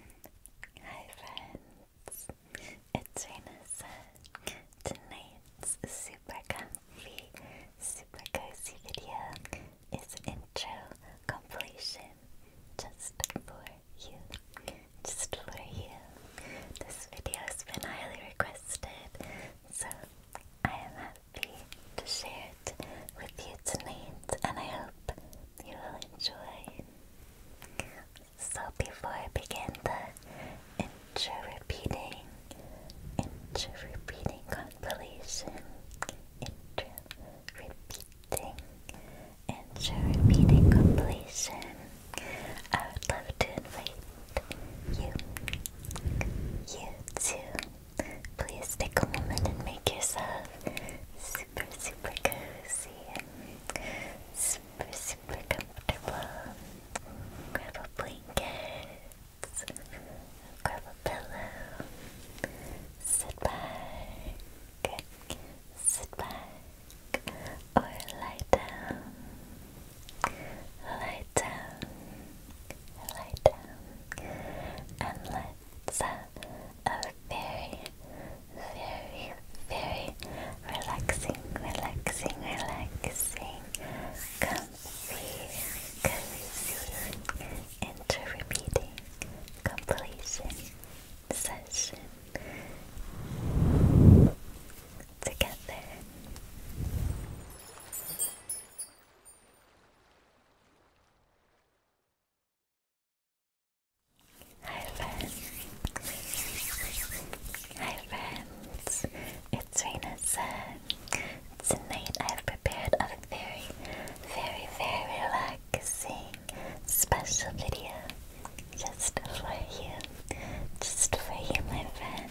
Hi friends, it's Renessa. Tonight's super comfy, super cozy video is intro completion just for you. Just for you. This video has been highly requested, so I am happy to share it with you tonight and I hope you will enjoy. So before I begin the intro repeating, intro repeating compilation, intro repeating, intro repeating compilation, I would love to invite you, you too. Please take a moment and make yourself. Super super, super cozy and super, super comfortable. Grab a blanket, grab a pillow, sit back, sit back, or lie down, lie down, lie down, and let's. Uh, a very, very, very relaxing, relaxing, relaxing, comfy, cozy, inter-repeating completion session together. Hi friends! Hi friends! It's Rena Sun. Tonight I've prepared a very, very, very relaxing special video just for you. Just for you, my friend.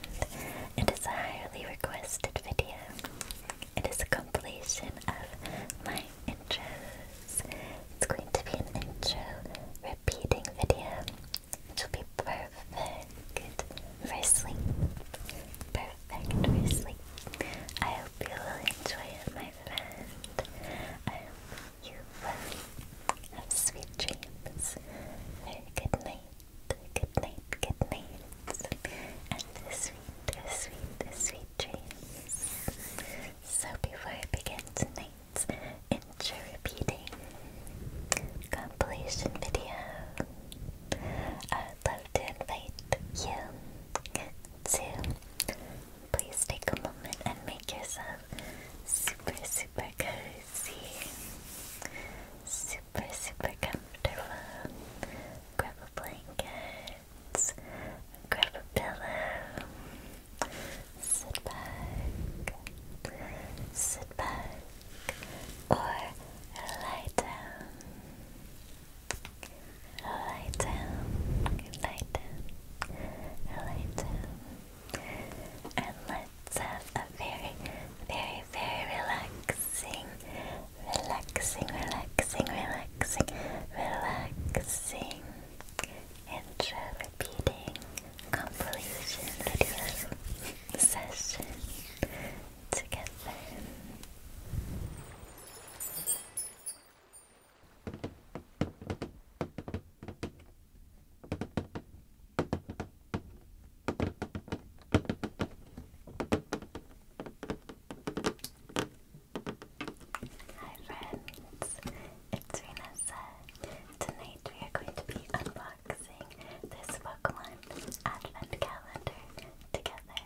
It is a highly requested video. It is a completion of my intros. It's going to be an intro repeating video, which will be perfect for sleep. Perfect for sleep. I hope you will enjoy it, my friend. I hope you will have sweet dreams. good night. Good night, good night, and sweet, sweet, sweet dreams. So before I begin tonight, cards intro repeating compilation video. I'd love to invite you to please take a moment and make yourself super, super cozy, super, super comfortable. Grab a blanket, Grab a pillow. Sit back. Sit back. Or lie down. Lie down. Lie down. Lie down. And let's have a very, very, very relaxing, relaxing, relaxing, relaxing, relaxing. Relaxing intro repeating compilation video session together. Hi friends, it's Renessa. Tonight we are going to be unboxing this Pokemon Advent Calendar together.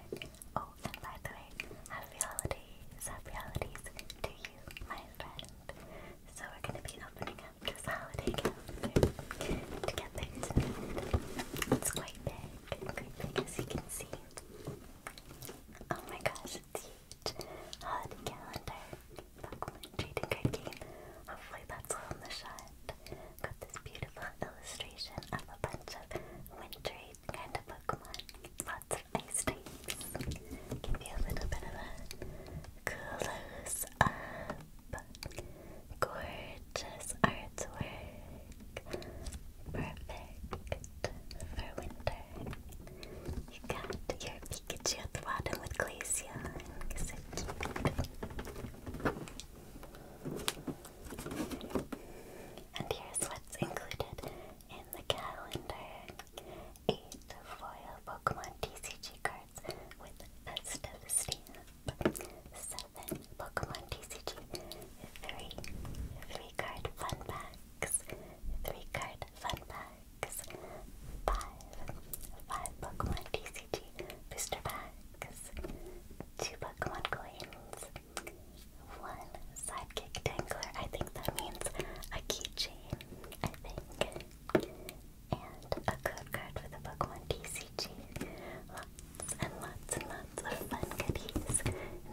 Oh, and by the way, happy holidays, happy holidays to you, my friend. So we're going to be opening up this holiday calendar together tonight. It's quite big, as you can see. Oh my gosh, it's HUD calendar. Pokemon trading card game. Hopefully that's all in the shot. Got this beautiful illustration of a bunch of wintry kind of Pokemon. Lots of ice types. Give you a little bit of a close up. Gorgeous artwork. Perfect for winter. You got your Pikachu at the bottom with Glaceon. And here's what's included in the calendar. Eight foil Pokemon TCG cards with festive stamp. Seven Pokemon TCG. Three. Three card fun packs. Three card fun packs packs, five, five TCG booster packs, two Pokemon coins, one sidekick dangler, I think that means a keychain, I think, and a code card for the book Pokemon TCG. Lots and lots and lots of fun goodies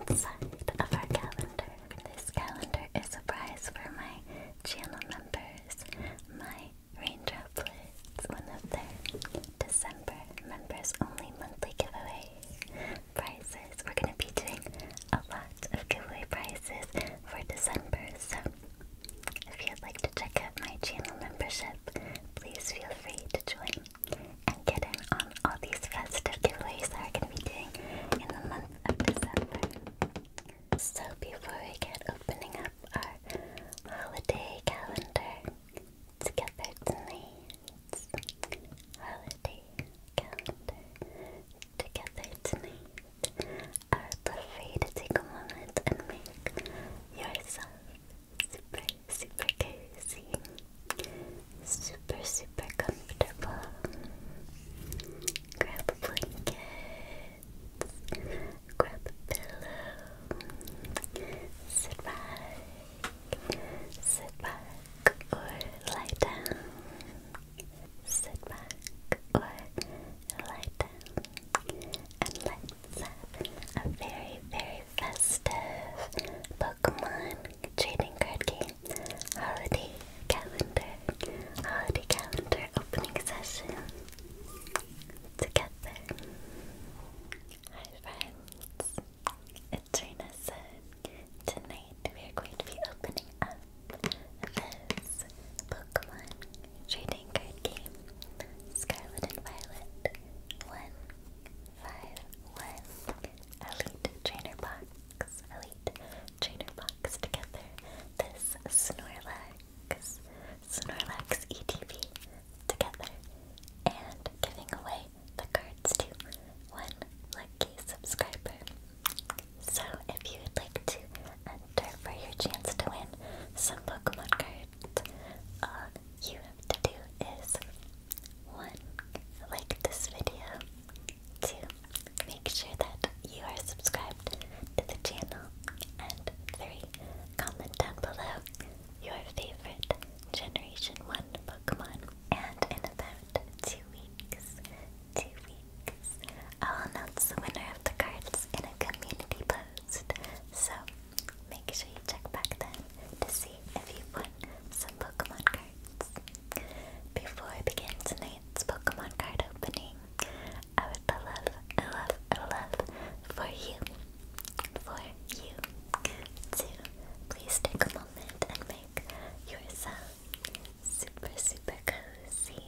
inside of our calendar. This calendar is a prize for my channel members, my raindrop Raindroplets, one of their December members only monthly giveaway prizes. We're going to be doing a lot of giveaway prizes for December, so if you'd like to check out my channel membership, please feel free to join and get in on all these festive giveaways that we're going to be doing in the month of December. So before we get opening up our holiday calendar together tonight, holiday calendar together tonight, I would love for you to take a moment and make yourself super, super cozy, super, super comfortable. Grab a blanket. Grab a pillow. Sit back. Sit back or lie down. Sit back or lie down. And let's have a very, very festive Pokemon trading card game holiday calendar, holiday calendar opening session together. Hi friends, it's Renessa. Tonight we are going to be opening up this Pokemon trading card game, Scarlet and Violet 151 Elite Trainer Box. Elite Trainer Box together this Snorlax, Snorlax ETV together and giving away the cards to one lucky subscriber. So if you would like to enter for your chance to win some Pokemon cards, all you have to do is one, like this video, to make sure that you are subscribed to the channel, and three, comment down below your favorite Generation 1 Pokemon. And in about two weeks, two weeks, I'll announce the winner of the cards in a community post. So make sure you check back then to see if you won some Pokemon cards. Before I begin tonight's Pokemon card opening, I would love, love, love for you, for you to please take a moment and make yourself super, super cozy,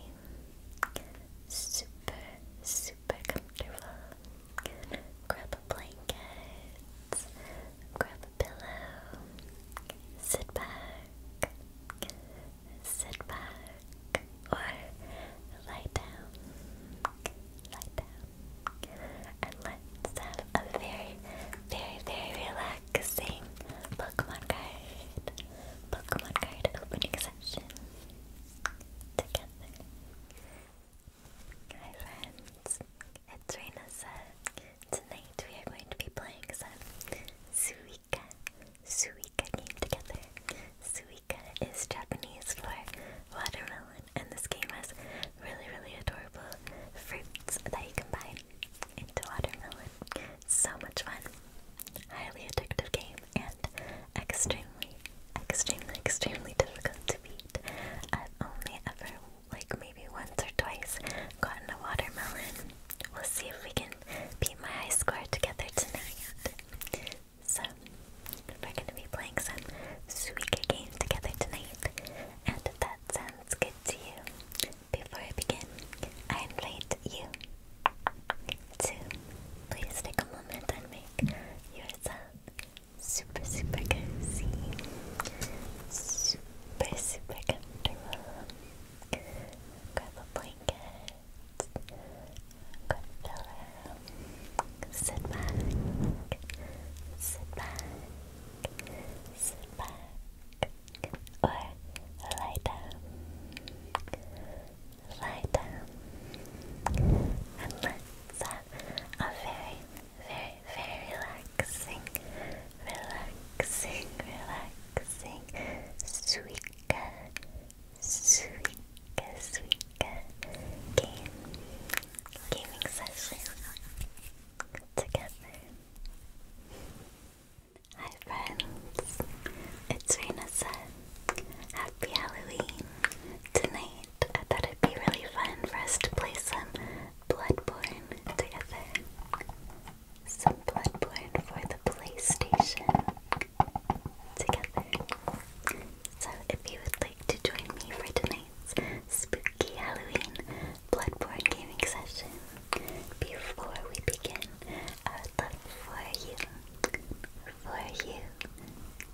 super, super comfortable. Grab a blanket, grab a pillow, sit back, sit back or lie down, lie down, and let's have a very, very, very relaxing Pokemon card, Pokemon card opening session Hi friends, it's Raina Tonight we are going to be playing some Suika Suika came together. Suika is Japanese for watermelon, and this game has really, really adorable fruits that you combine into watermelon. So much fun. Highly addictive game and extremely, extremely, extremely difficult to beat. I've only ever, like maybe once or twice, gotten a watermelon We'll see if we can beat my high score together tonight. So, we're going to be playing some Suika game together tonight. And that sounds good to you, before I begin, I invite you to please take a moment and make yourself super, super cozy, super, super comfortable. Grab a blanket, Goodfellow. Sit back. Sit back. Sit back. Or lie down. Lie down. And let's have a very, very, very relaxing, relaxing, relaxing, sweet game gaming session together. Hi friends, it's Raina Happy Halloween! Tonight I thought it'd be really fun for us to play some Bloodborne together some Bloodborne for the PlayStation together. So if you would like to join me for tonight's spooky Halloween Bloodborne gaming session, before we begin, I would love for you, for you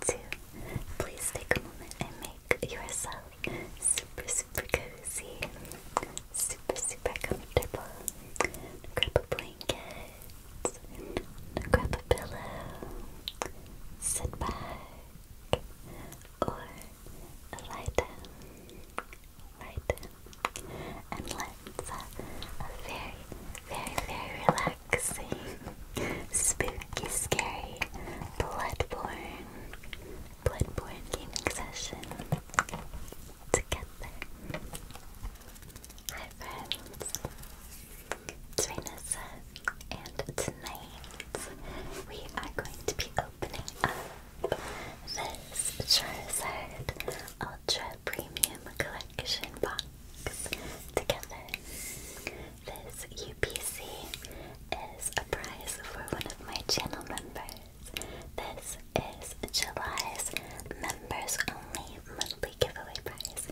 to please take a moment and make yourself super, super cozy, super, super comfortable. Grab a blanket, grab a pillow, sit back, or lie down, lie and let's have a very, very, very relaxing, spooky, scary, bloodborne, bloodborne gaming session together. Hi friends, it's and tonight we are going to be opening up this Charizard Ultra Premium Collection box together. This UPC is a prize for one of my channel members. This is July's members only monthly giveaway prize,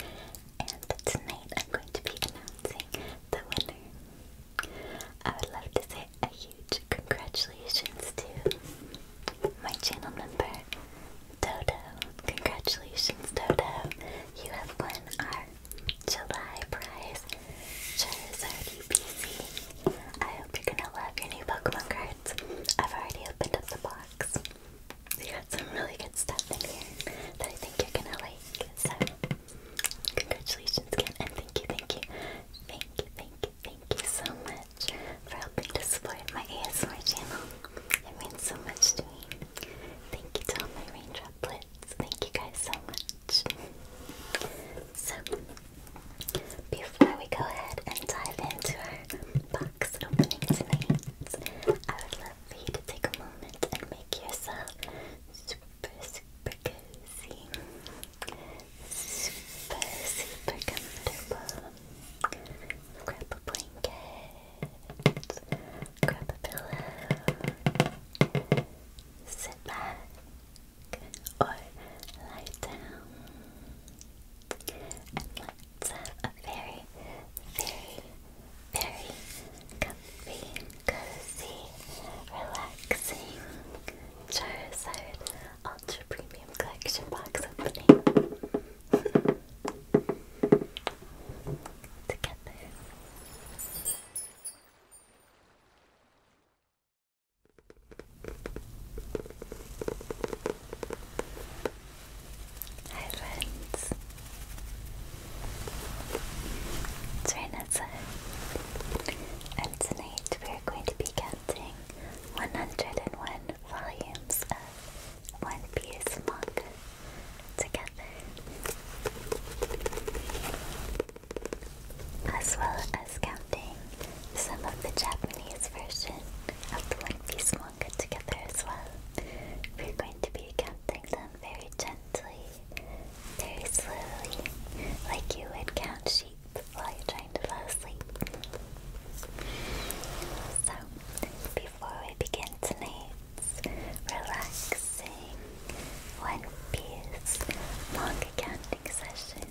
and tonight I'm going to be announcing the winner. I would love to say a huge congratulations to my channel member, Dodo. Congratulations, Dodo! You have won our July prize, Charizard UPC. I hope you're gonna love your new Pokemon cards. I've already opened up the box. We got some really good stuff in here that I think you're gonna like. So, congratulations again, and thank you, thank you, thank you, thank you, thank you so much for helping to support my ASMR channel. It means so much to me. Thank you to all my raindroplets. Thank you guys so much. So, before we go ahead and dive into box opening tonight. I would love for you to take a moment and make yourself super, super cozy, super, super comfortable. Grab a blanket, grab a pillow, sit back, or lie down. And let a very, very, very comfy, cozy, relaxing Charizard Ultra Premium Collection box opening. Together. Hi friends. It's Renessa. tonight we are going to be counting 101 volumes of One Piece manga together. As well as counting some of the Japanese version of the One Piece everyone together as well. We're going to be counting them very gently, very slowly, like you would count sheep while you're trying to fall asleep. So, before we begin tonight's relaxing One Piece long counting session,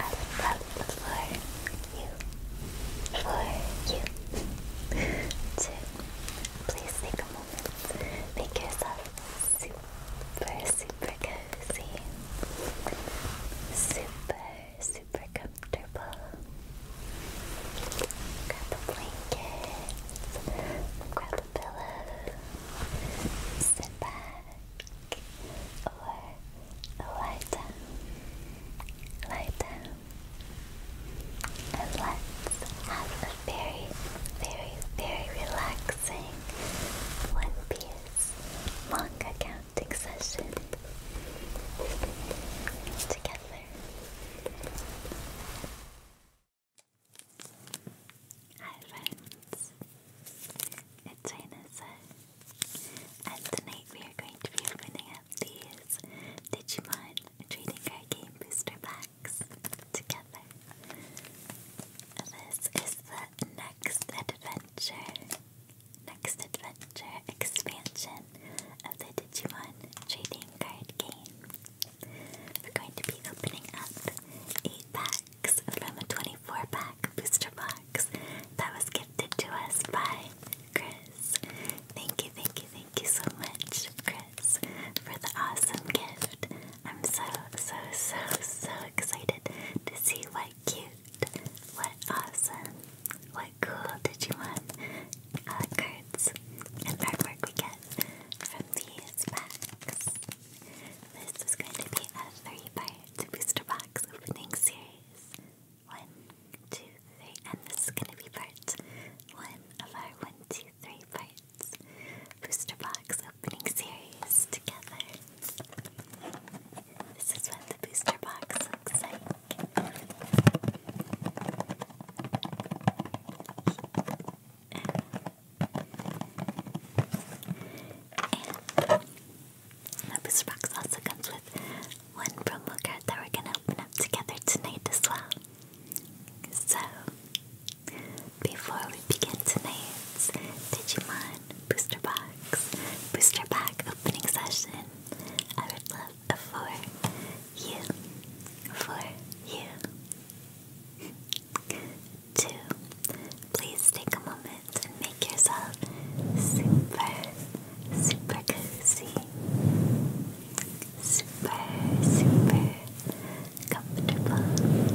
I would love the floor you, for you to please take a moment, make yourself super, super cozy, super, super comfortable. Grab a blanket, grab a pillow, sit back, or Lie down, lie down, and let's have a very, very, very relaxing One Piece manga counting session together. Hi friends, it's Raina tonight we are going to be opening up these Digimon Trading Card Game Booster Packs together. This is the next adventure, next adventure expansion of the Digimon Trading Card Game. We're going to be opening up 8 packs from a 24 pack booster box that was gifted to us by Thank you, thank you, thank you so much, Chris, for the awesome gift. I'm so, so, so, so excited to see what cute, what awesome, what cool did you want, uh, cards and artwork we get from these packs. This is going to be a three-part booster box opening series. One, two, three, and this is gonna be part one of our one, two, three parts booster box opening series together. This is what the booster box looks like. And the booster box also comes with one from card that we're gonna open up together tonight as well. So, before we begin tonight's Digimon Booster Box, Booster Pack opening session, I would love for you, for you, to please take a moment and make yourself super super cozy, super, super comfortable.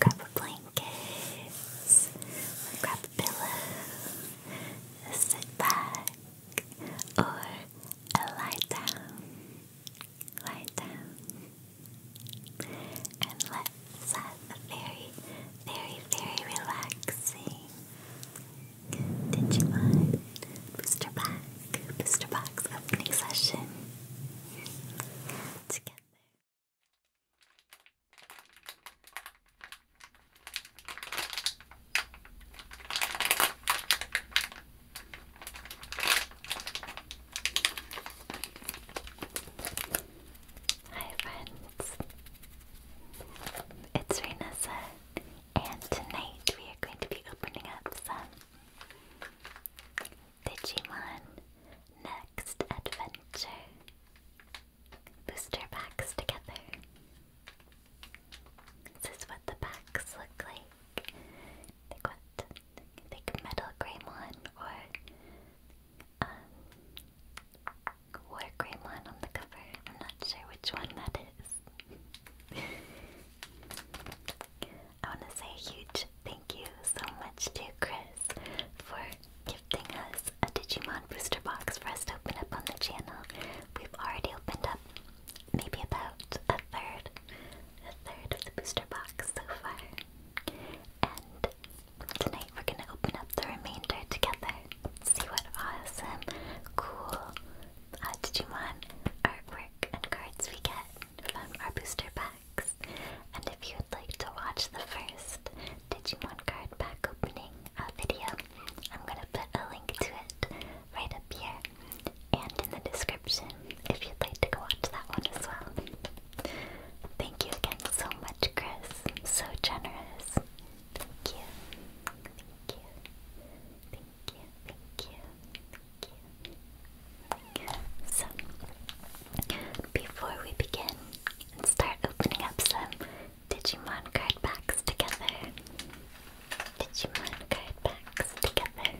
Grab a blanket, grab a pillow, sit back, or lie down, lie down, and let's have a very, very, very relaxing. Digimon, Booster Pack, Booster Box opening session together. Hi friends, it's Renessa and tonight we are going to be opening up some Digimon Next Adventure booster packs together. This is what the packs look like. Like what? Like Metal Greymon or um or Greymon on the cover. I'm not sure which one that is. I want to say a huge thank you so much to Chris for gifting us a Digimon booster box for us to open up on the channel. We've already opened up maybe about a third, a third of the booster box so far. And tonight we're going to open up the remainder together. See what awesome, cool uh, Digimon artwork and cards we get from our booster packs. And if you would like to watch the first Digimon card pack opening uh, video, I'm going to put a link to it right up here and in the description if you'd like to go watch that one as well. Thank you again so much, Chris. So generous. Thank you. Thank you. Thank you. Thank you. Thank you. So, before we begin and start opening up some Digimon card packs together, Digimon card packs together,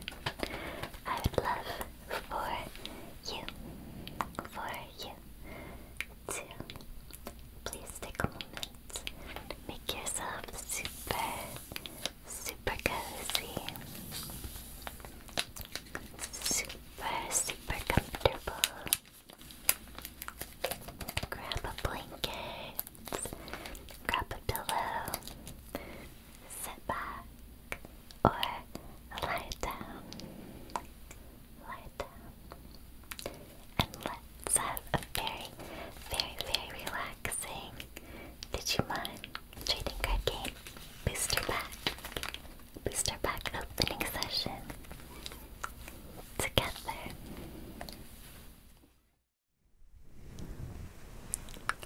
I would love for you, for you, to please take a moment Make yourself super, super cozy, super, super comfortable. Grab a blanket, grab a pillow, sit back, or lie down. Lie down and let's have a very, very, very relaxing Digimon trading card game booster pack, booster pack opening session together.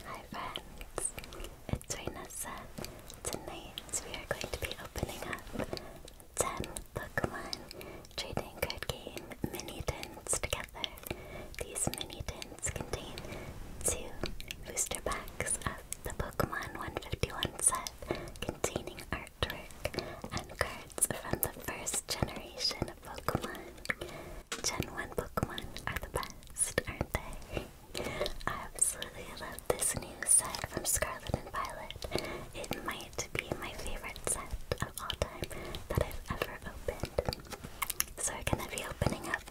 Hi friends, it's Renessa. Tonight we are going to be opening up 10 Pokemon trading card game mini tins together. These mini tins contain two booster packs of the Pokemon 151 set containing artwork and cards from the first generation of Pokemon. Gen 1 Pokemon are the best, aren't they? I absolutely love this new set from Scarlet and Violet. It might to be my favorite set of all time that I've ever opened. So we're gonna be opening up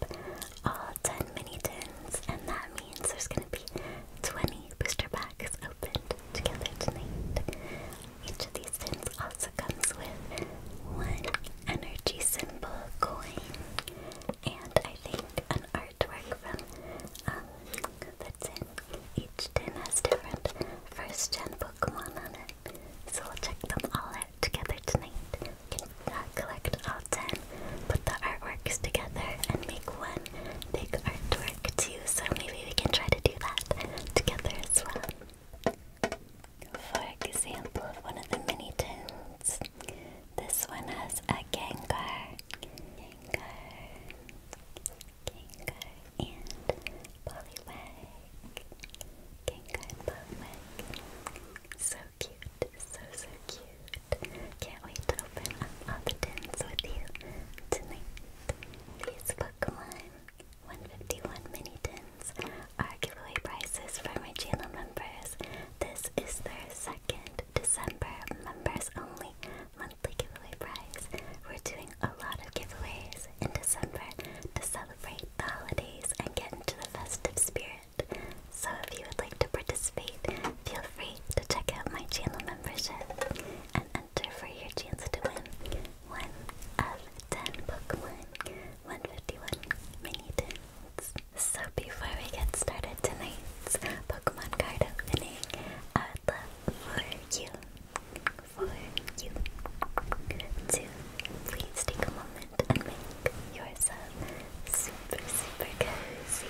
all 10 mini tins, and that means there's gonna be 20 booster packs opened together tonight. Each of these tins also comes with one energy symbol coin, and I think an artwork from um, the tin each tin has different first gen Pokemon on it. So we'll check them all out together tonight. We can uh, collect all 10, put the artworks together, and make one big artwork too. So maybe we can try to do that together as well. For example, one of the mini tins. This one has a Gengar. Gengar. Gengar and Poliwag. Gengar and Poliwag. So cute, so so cute. Can't wait to open up all the tins with you tonight. These Pokemon 151 mini tins are giveaway prizes for my channel members. This is their second December members only monthly giveaway prize. We're doing a lot of giveaways in December to celebrate the holidays and get into the festive spirit. So if you would like to participate, feel free to check out my channel membership and enter for your chance to win one of 10 Pokemon 151 mini tins. So before we get started tonight's Pokemon card opening, I would love you for you please take a moment and make yourself super, super cozy,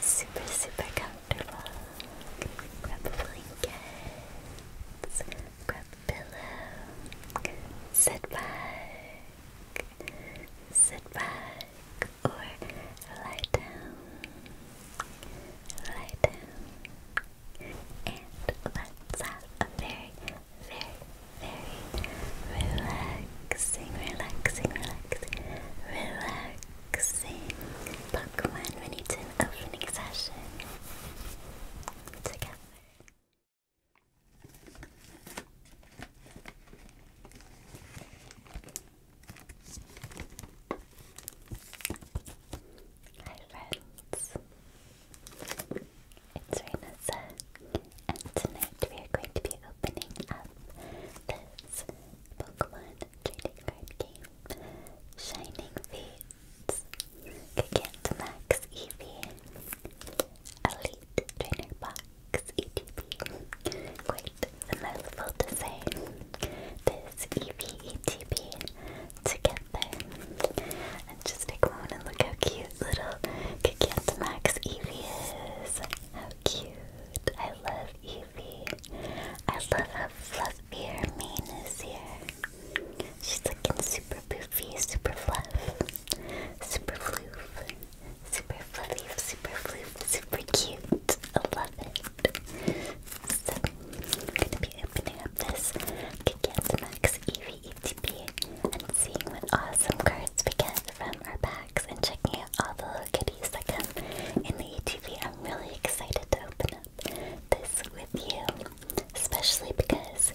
super, super comfortable. Grab a blanket, grab a pillow, sit back, sit back, or lie down. Lie down, and let's have a very, very, very relaxing, relaxing, relaxing, relaxing Pokemon Miniton opening session together. Hi friends, it's Renessa and tonight we are going to be opening up this Pokemon trading card game, Shining Fates, Gigant Max Elite Trainer Box ETB, quite the mouthful to say is EVETB together. And just take a and look how cute little Gigantamax Eevee is. How cute. I love Eevee. I love how fluffy mane is here. She's looking super poofy, super fluff, super floof, super fluffy, super floof, super cute. I love it. So, I'm going to be opening up this Weekend Max Eevee ETP and seeing what awesome cards we get from our packs and checking out all the goodies that come in the ETP. I'm really excited to open up this with you, especially because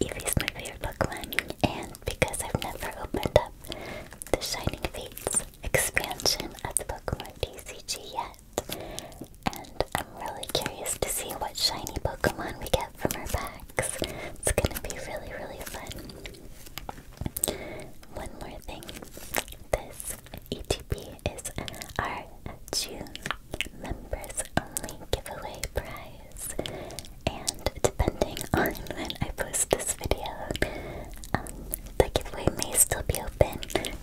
Eevee's my favorite Pokemon and because I've never opened up the Shining Fates expansion of the Pokemon DCG yet. And I'm really curious to see what shiny Pokemon we get from our packs. It's gonna be really, really fun. One more thing. This ETP is our June members only giveaway prize. And depending on when I post this video, um, the giveaway may still be open.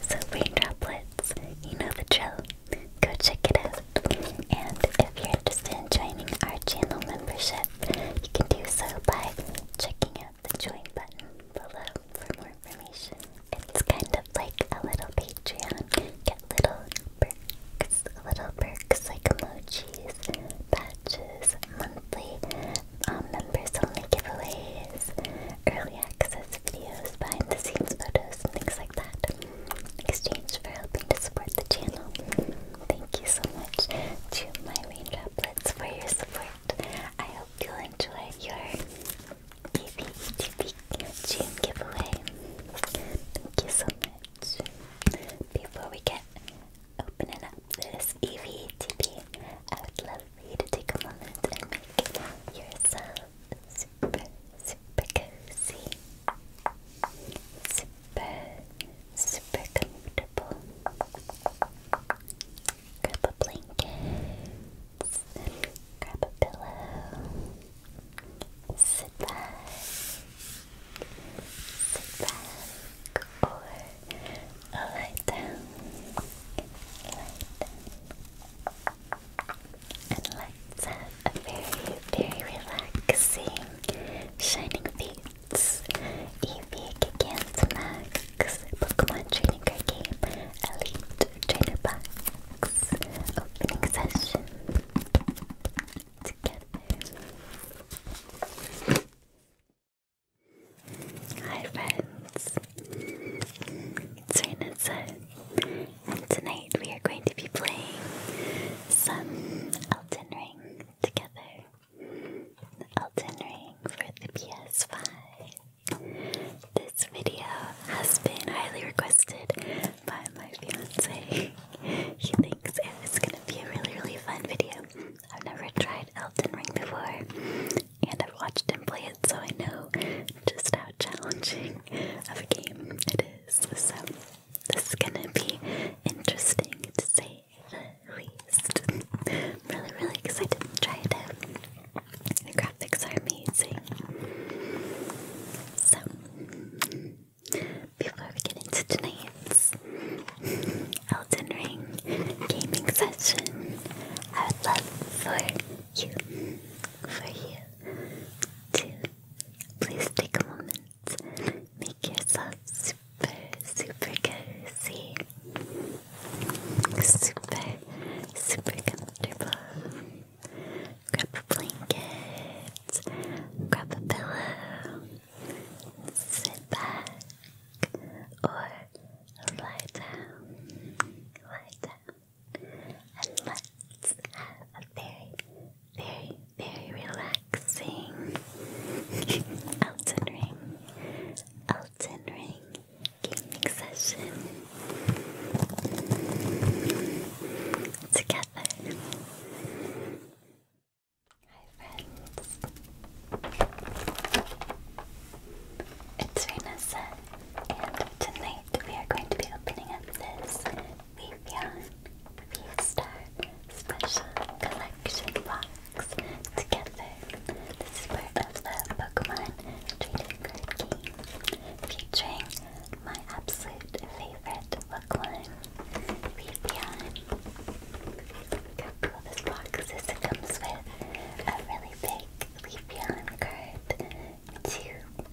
So rain droplets, you know the drill go check it out. And if you're interested in joining our channel membership, you can do so by checking out the join button below for more information. It's kind of like a little Patreon. Get little perks, little perks like emojis, patches, monthly um, members only giveaways, early access videos, behind the scenes photos, things like that. In exchange for helping to support the channel. Thank you so much to my raindroplets for your support. I hope you'll enjoy your BBETB giveaway. Thank you so much. Before we get opening up this EVTB, I would love for you to take a moment and make yourself super, cozy, super, super comfortable. Grab a blanket, grab a pillow, sit back, sit back, or lie down, lie down. And let's have a very, very relaxing Shining Fates Eevee Gigantamax Pokemon Trading Card Game Elite Trainer Box Opening Session Hi friends! Serena said, Tonight we are going to be playing some Elton Ring together. Elton Ring for the PS5. This video has been highly requested by my fiance. he thinks it's gonna be a really, really fun video. I've never tried Elton Ring before, and I've watched him play it, so I know just how challenging of a game it is. So this is gonna be interesting to say the least. really, really excited to try it The graphics are amazing. So before we get into tonight's Elden Ring gaming session, I would love for you, for you to please take a moment. Make yourself super, super cozy. Super, super comfortable. Grab a blanket. Grab a pillow. Sit back or lie down. Lie down and let's have a very, very, very relaxing Elden Ring, Elden Ring gaming session together. Hi friends, it's Renessa, and tonight we are going to be opening up this We've begun Special Collection box together. This is part of the Pokemon Trading Card Game, featuring my absolute favorite Pokemon, Vaporeon. how cool this box is. It comes with a really big Leafeon card two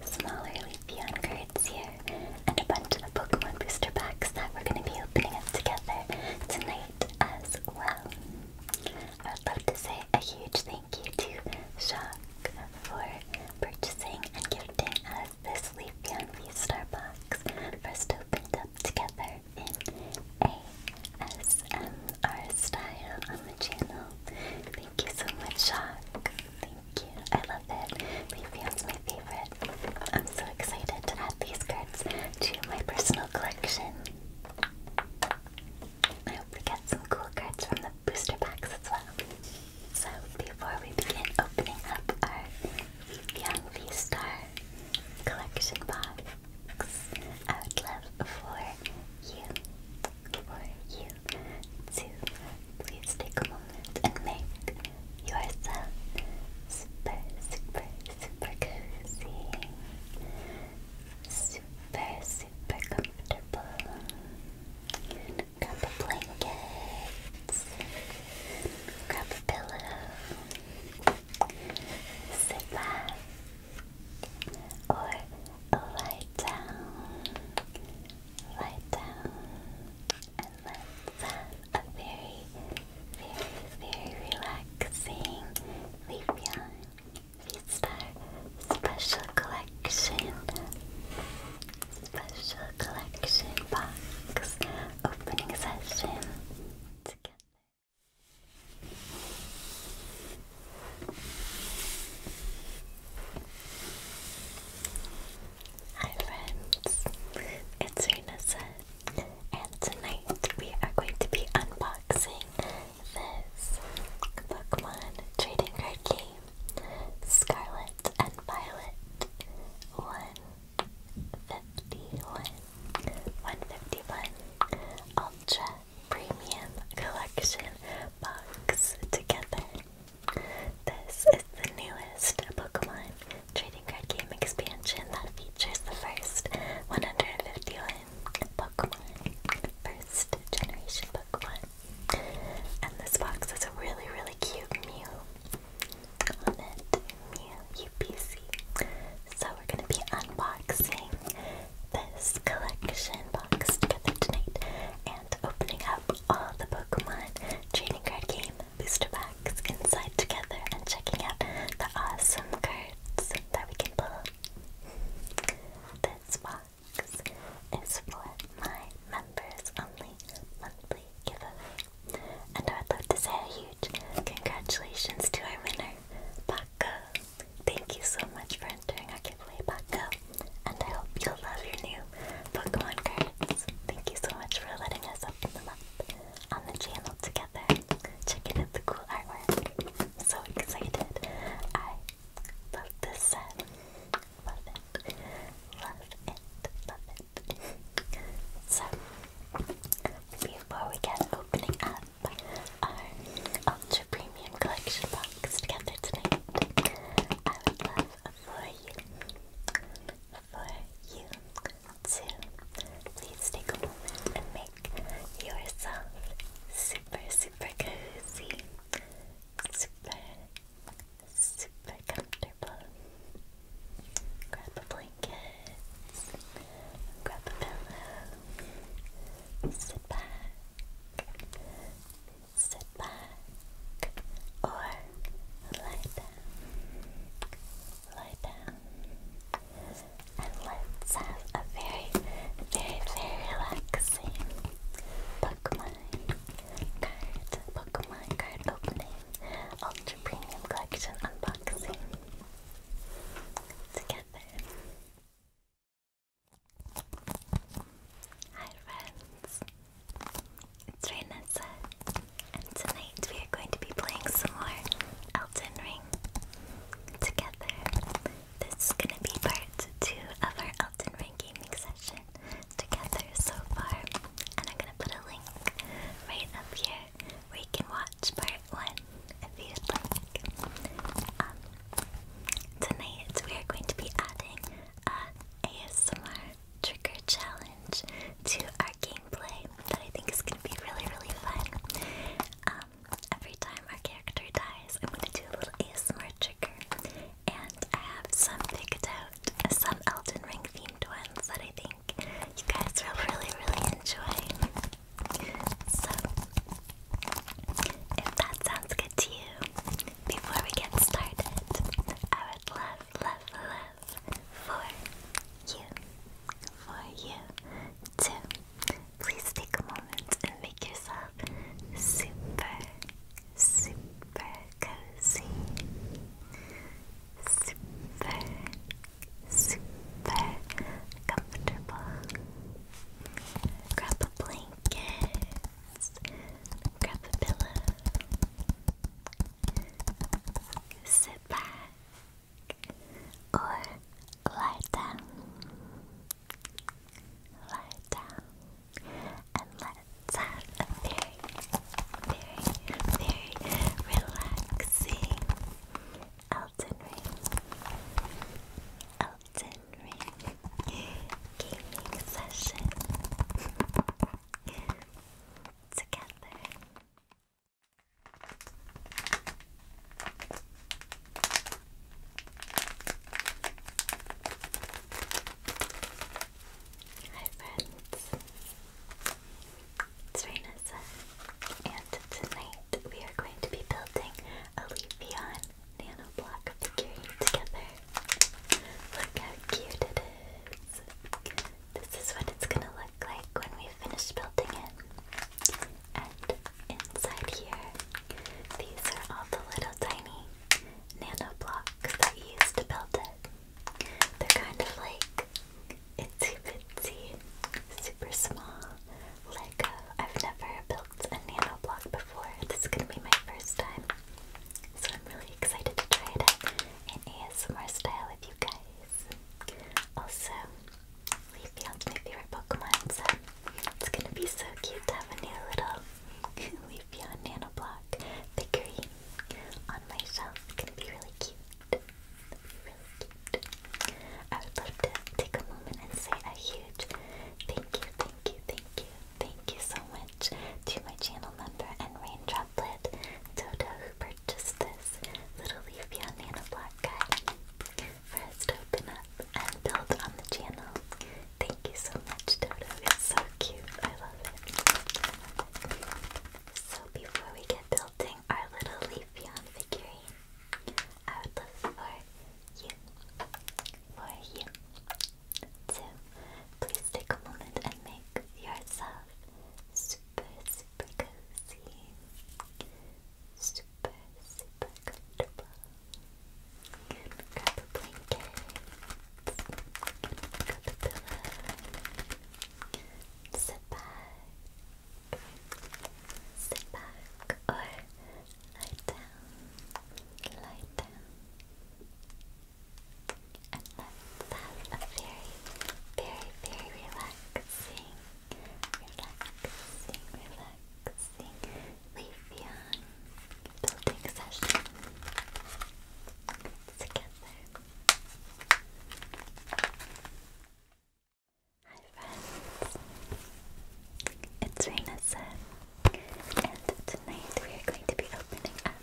smaller Leafeon cards here, and a bunch of Pokemon booster packs that we're going to be opening up together tonight as well. I would love to say a huge thank you to Jacques for purchasing and gifting us this Leafeon v box, first opened up together in ASMR style on the channel. Thank you so much, Jacques. I love it. Leafeon's my favorite. I'm so excited to add these cards to my personal collection. I hope we get some cool cards from the booster packs as well. So before we begin opening up our Leafeon V-Star collection box, I would love for you for you to please take a moment and make yourself super, super, super cozy, super, super comfortable. Grab a blanket, grab a pillow, sit back, or lie down right down and let's have a very, very, very relaxing Leafeon v Special Collection Special Collection Box Opening Session together. Hi friends, it's Renessa and tonight we are going to be unboxing this Pokemon trading card game, Scarlet and Violet 151, 151 Ultra Premium Collection Box together. This is the newest Pokemon trading card game expansion that features the first 151 Pokemon, first generation Pokemon. And this box is a really, really cute Mew on it, Mew UPC. So we're going to be unboxing this collection box together tonight, and opening up all the Pokemon trading card game booster packs inside together and checking out the awesome cards that we can pull. This box is for my members only monthly giveaway. And I would love to say a huge congratulations to our winner, Paco. Thank you so much for entering our giveaway, Paco and I hope you'll love your new Pokemon cards. Thank you so much for letting us open them up on the channel together. Checking out the cool artwork. so excited. I love this set. Love it. Love it. Love it. so, before we get opening up our Ultra Premium Collection box together tonight, I would love for you, for you too. Please take a moment and make yourself super, super cozy, super, super comfortable. Grab a blanket, grab a pillow, sit back, sit back or lie down, lie down, and let's have a very, very, very relaxing Pokemon card, Pokemon card opening, Ultra Premium Collection unboxing together. Hi friends, it's Renessa, and tonight we are going to be playing some more Elton Ring together. This is going to be part two of our Elden Ring gaming session together so far, and I'm going to put a link right up here where can watch part one if you'd like. Um, tonight we are going to be adding a ASMR Trick or challenge to our gameplay that I think is going to be really, really fun. Um, every time our character dies, I'm going to do a little ASMR trigger. And I have some picked out, some Elden Ring themed ones that I think you guys will really, really enjoy. So, if that sounds good to you, before we get started, I love, love, love, for you, for you too. Please take a moment and make yourself super, super cozy. Super, super comfortable. Grab a blanket, grab a pillow, sit back, or lie down, lie down, and let's have a very, very, very relaxing Elton Ring, Elton Ring gaming session together. Hi friends, it's Rainessa, and tonight we are going to be building a Leafeon nanoblock of the Curie together. Look how cute it is! This is what it's gonna look like when we finish building it. And inside here, these are all the little tiny nano blocks that we used to build it. They're kind of like it's itsy tiny, super small Lego. I've never built a nano block before. This is gonna be my first time. So I'm really excited to try it out an ASMR style with you guys. Also, Leafeon's my favorite Pokemon, so it's gonna be so cute to have a new little Leafeon nanoblock figurine on my It's gonna be Really cute. I would love to take a moment and say a huge thank you, thank you, thank you, thank you so much to my channel member and raindrop tablet. Toto, who purchased this little leafy on Nana Black Guy, for us to open up and build on the channel. Thank you so much, Toto. It's so cute. I love it. So before we get building our little Leafeon figurine, I would love for you, for you, so please take a moment and make yourself super, super cozy, super, super comfortable. Grab a blanket, grab a pillow, sit back, sit back, or lie down, lie down. And that's a very, very, very relaxing, relaxing, relaxing Leafeon building session together. Hi friends, it's Rainessa, and tonight we are going to be opening up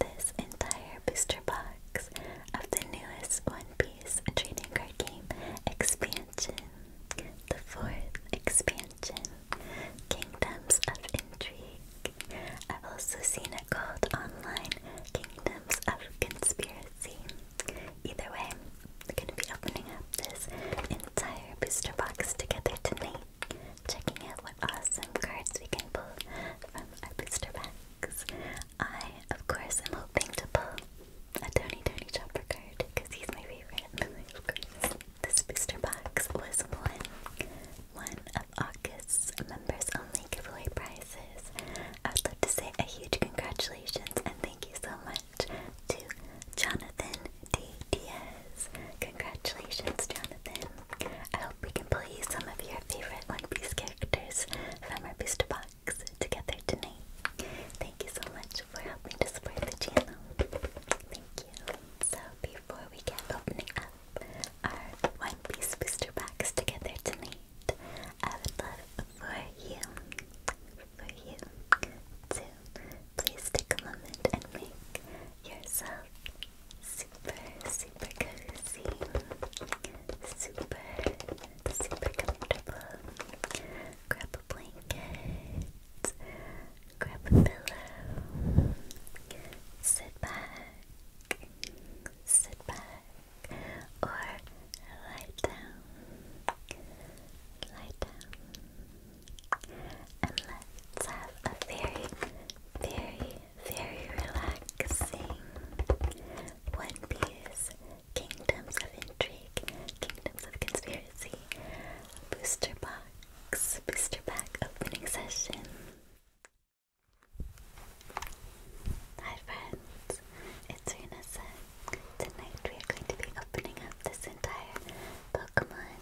this entire booster box of the newest One Piece trading card game expansion, the fourth expansion, Kingdoms of Intrigue. I've also seen it called Online Kingdoms of Conspiracy. Either way, we're going to be opening up this entire booster box together tonight checking out what awesome cards we can pull from booster packs. I, of course, am hoping to pull a tiny, tiny Chopper card because he's my favorite. of course. This booster box was one, one of August's members only giveaway prizes. I would like to say a huge congratulations and thank you so much to Jonathan D. Diaz. Congratulations, Jonathan. I hope we can play some of your favorite One characters from our booster box together tonight. Thank you so much for helping to support the channel. Thank you. So before we get opening up our One Piece booster box together tonight, I would love for you, for you to please take a moment and make yourself super, cozy, super, super comfortable. Grab a blanket, grab a pillow, sit back, sit back, or lie down, lie down, and let's have a very, very very relaxing. One Piece, Kingdoms of Intrigue, Kingdoms of Conspiracy, Booster Box, Booster Pack Opening Session. Hi friends, it's Renessa. Tonight we are going to be opening up this entire Pokemon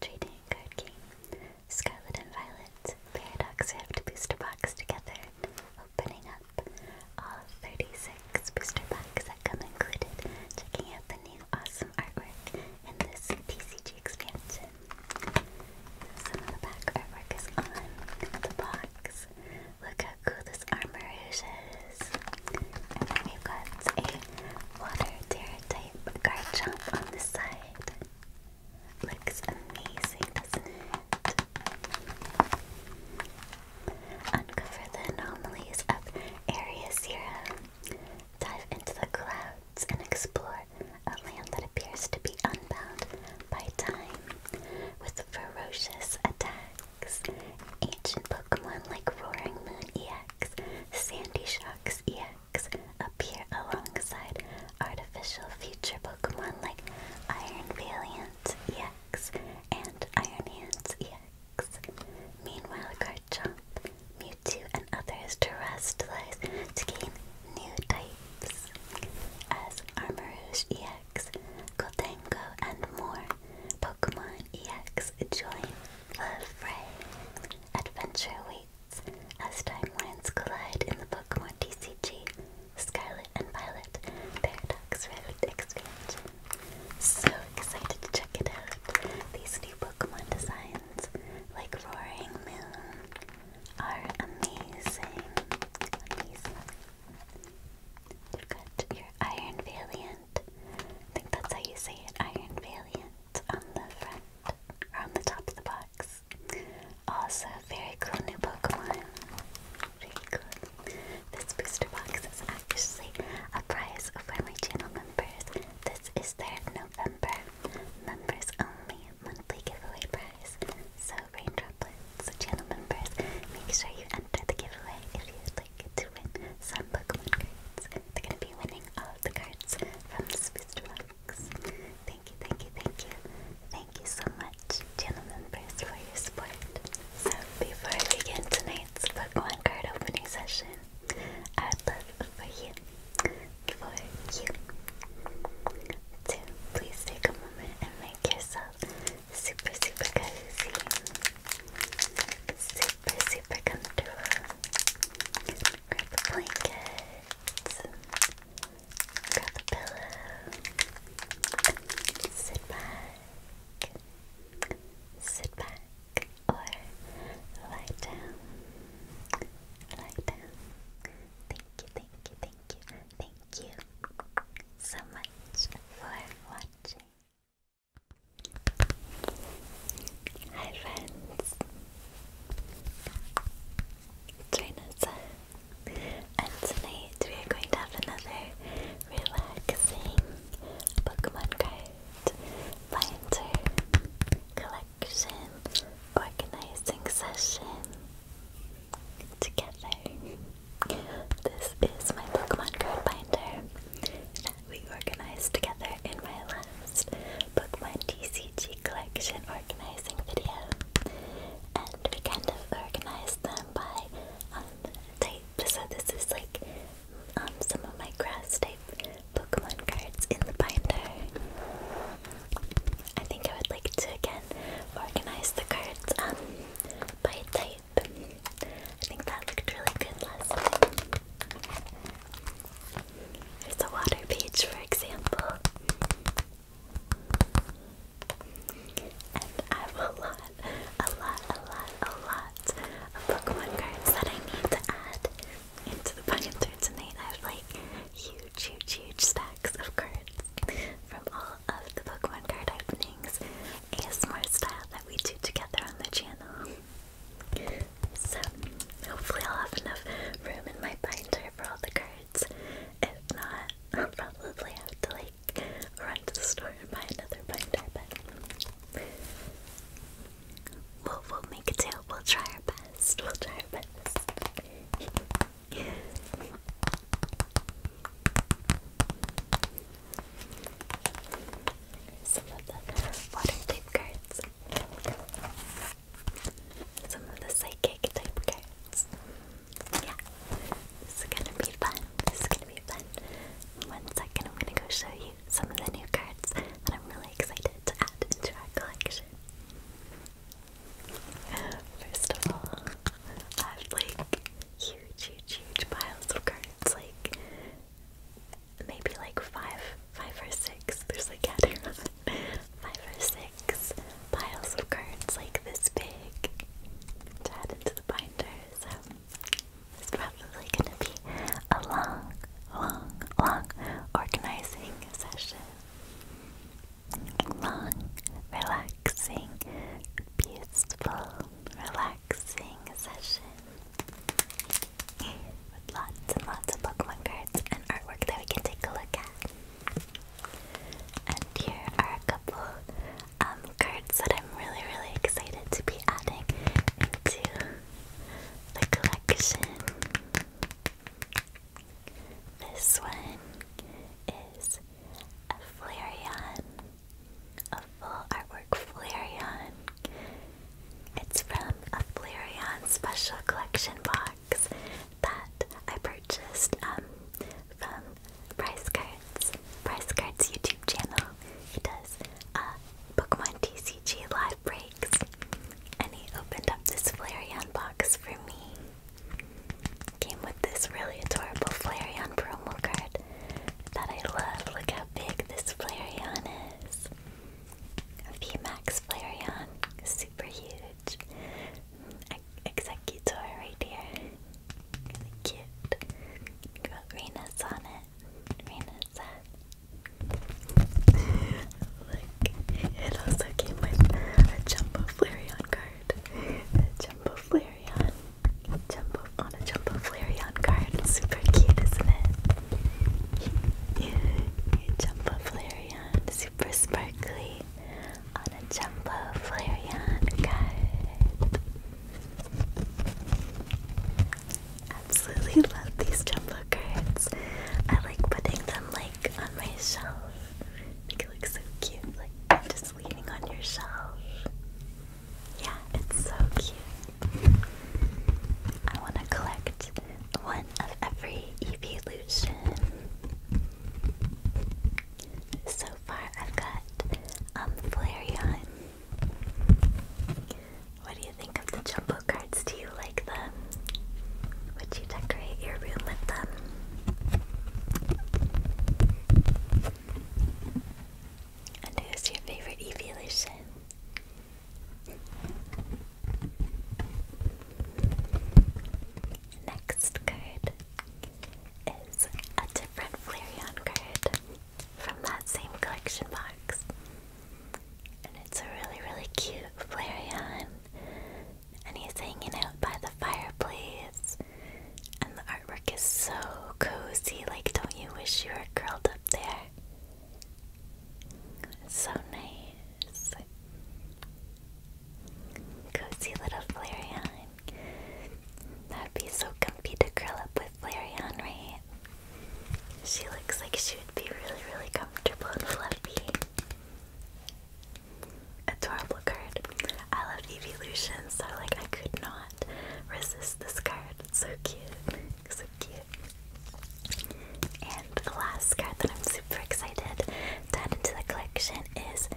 trading card game. Scarlet and Violet Paradox Rift booster box together, opening up all 36 booster packs that come included, checking out the new awesome artwork in this TCG expansion. Some of the back artwork is on the box. Look how cool this armor is. And then we've got a water terror type Garchomp on the side. Looks amazing, doesn't it? Uncover the anomalies of Area Zero. Dive into the clouds and explore a land that appears to be unbound by time, with ferocious attacks. Ancient Pokemon like Roaring Moon EX, Sandy Shocks EX, appear alongside artificial future Pokemon like Iron Valiant EX and Iron Hands EX. Meanwhile, Garchomp, Mewtwo, and others terrestrialize to gain new types as Armourouge EX, Goldengo, and more. Pokemon EX join the fray. Adventure week. As timelines collide in the Pokemon TCG, Scarlet and Violet Paradox Rift So excited to check it out. These new Pokemon designs, like Roaring Moon, are amazing. Amazing. You've got your Iron Valiant. I think that's how you say it, Iron Valiant, on the front, or on the top of the box yes. Also, very cool new Pokemon. This booster box is actually a prize for my channel members. This is their November members only monthly giveaway prize. So, raindroplets, channel members, make sure you enter the giveaway if you'd like to win some Pokemon cards. They're going to be winning all of the cards from the booster box thank you, thank you, thank you. Thank you so much, gentlemen, members, for your support. So, before I begin tonight's Pokemon card opening session, I would love for you, for you, to please take a moment and make yourself super, super cozy, super, super comfortable. Grab a blanket grab a pillow, sit back, sit back, or lie down, lie down. Thank you, thank you, thank you, thank you so much for watching. Hi friends join And tonight we are going to have another relaxing Pokemon card binder collection organizing session together. This is my Pokemon card binder that we organized together in my last Pokemon TCG collection organizing video and we kind of them by um, type. So this is like um, some of my grass type Pokemon cards in the binder. I think I would like to again organize the cards um, by type. I think that looked really good last time. There's a water page, for example. I have a lot, a lot, a lot, a lot of Pokemon cards that I need to add into the binder today I have like huge, huge, huge stacks of cards from all of the Pokemon card openings, smart style that we do together on the channel. So hopefully I'll have enough room in my binder for all the cards. If not, I'll probably have to like run to the store and buy another binder, but we'll, we'll make do. We'll try our best. We'll try our best. Some of the water type cards. Some of the psychic type cards yeah, this is gonna be fun. This is gonna be fun. In one second, I'm gonna go show you some of the new cards that I'm really excited to add into our collection. First of all, I have like huge, huge, huge piles of cards. Like maybe like five, five or six. There's like five or six piles of cards like this big to add into the binder, so it's probably gonna be a long, long, long organizing session. Long, relaxing, peaceful, relaxing session with lots and lots of Pokemon cards and artwork that we can take a look at. And here are a couple um, cards that I'm really, really excited to be adding into the collection. This one is a Flareon, a full artwork Flareon. It's from a Flareon special collection box that I purchased um, from Price Cards, Price Cards YouTube channel. He does uh, Pokemon TCG live breaks, and he opened up this Flareon box for me. Came with this really adorable Flareon promo card that I love. Look how big this Flareon is. A VMAX Flareon, super huge. Switch Executor right here. Really cute. Got Rena's on it. Rena's on Look, it also came with a Jumbo Flareon card. Jumbo Flareon. Jumbo on a Jumbo Flareon card. Super cute, isn't it? Yeah, Jumbo Flareon. Super sparkly on a Jumbo Flareon card. Absolutely love these Jumbo cards. I like putting them like on my shelf. Like, it so cute, like just leaning on your shelf. Yeah, it's so cute. I want to collect one of every evolution. So far, I've got um Flareon. What do you think of the jumbo cards? Do you like them? Would you decorate your room with them? And who's your favorite evolution? Next card is a different Flareon card from that same collection box. And it's a really, really cute Flareon. And he's hanging out by the fireplace. And the artwork is so cozy. Like, don't you wish you were curled up there? It's so nice. Cozy little Flareon. That'd be so comfy to curl up with Larry on, right? She looks like she would be really, really comfortable and fluffy. Adorable card. I love Evolution, so like I could not resist this card. It's so cute. so cute. And the last card that I'm super excited to into the collection is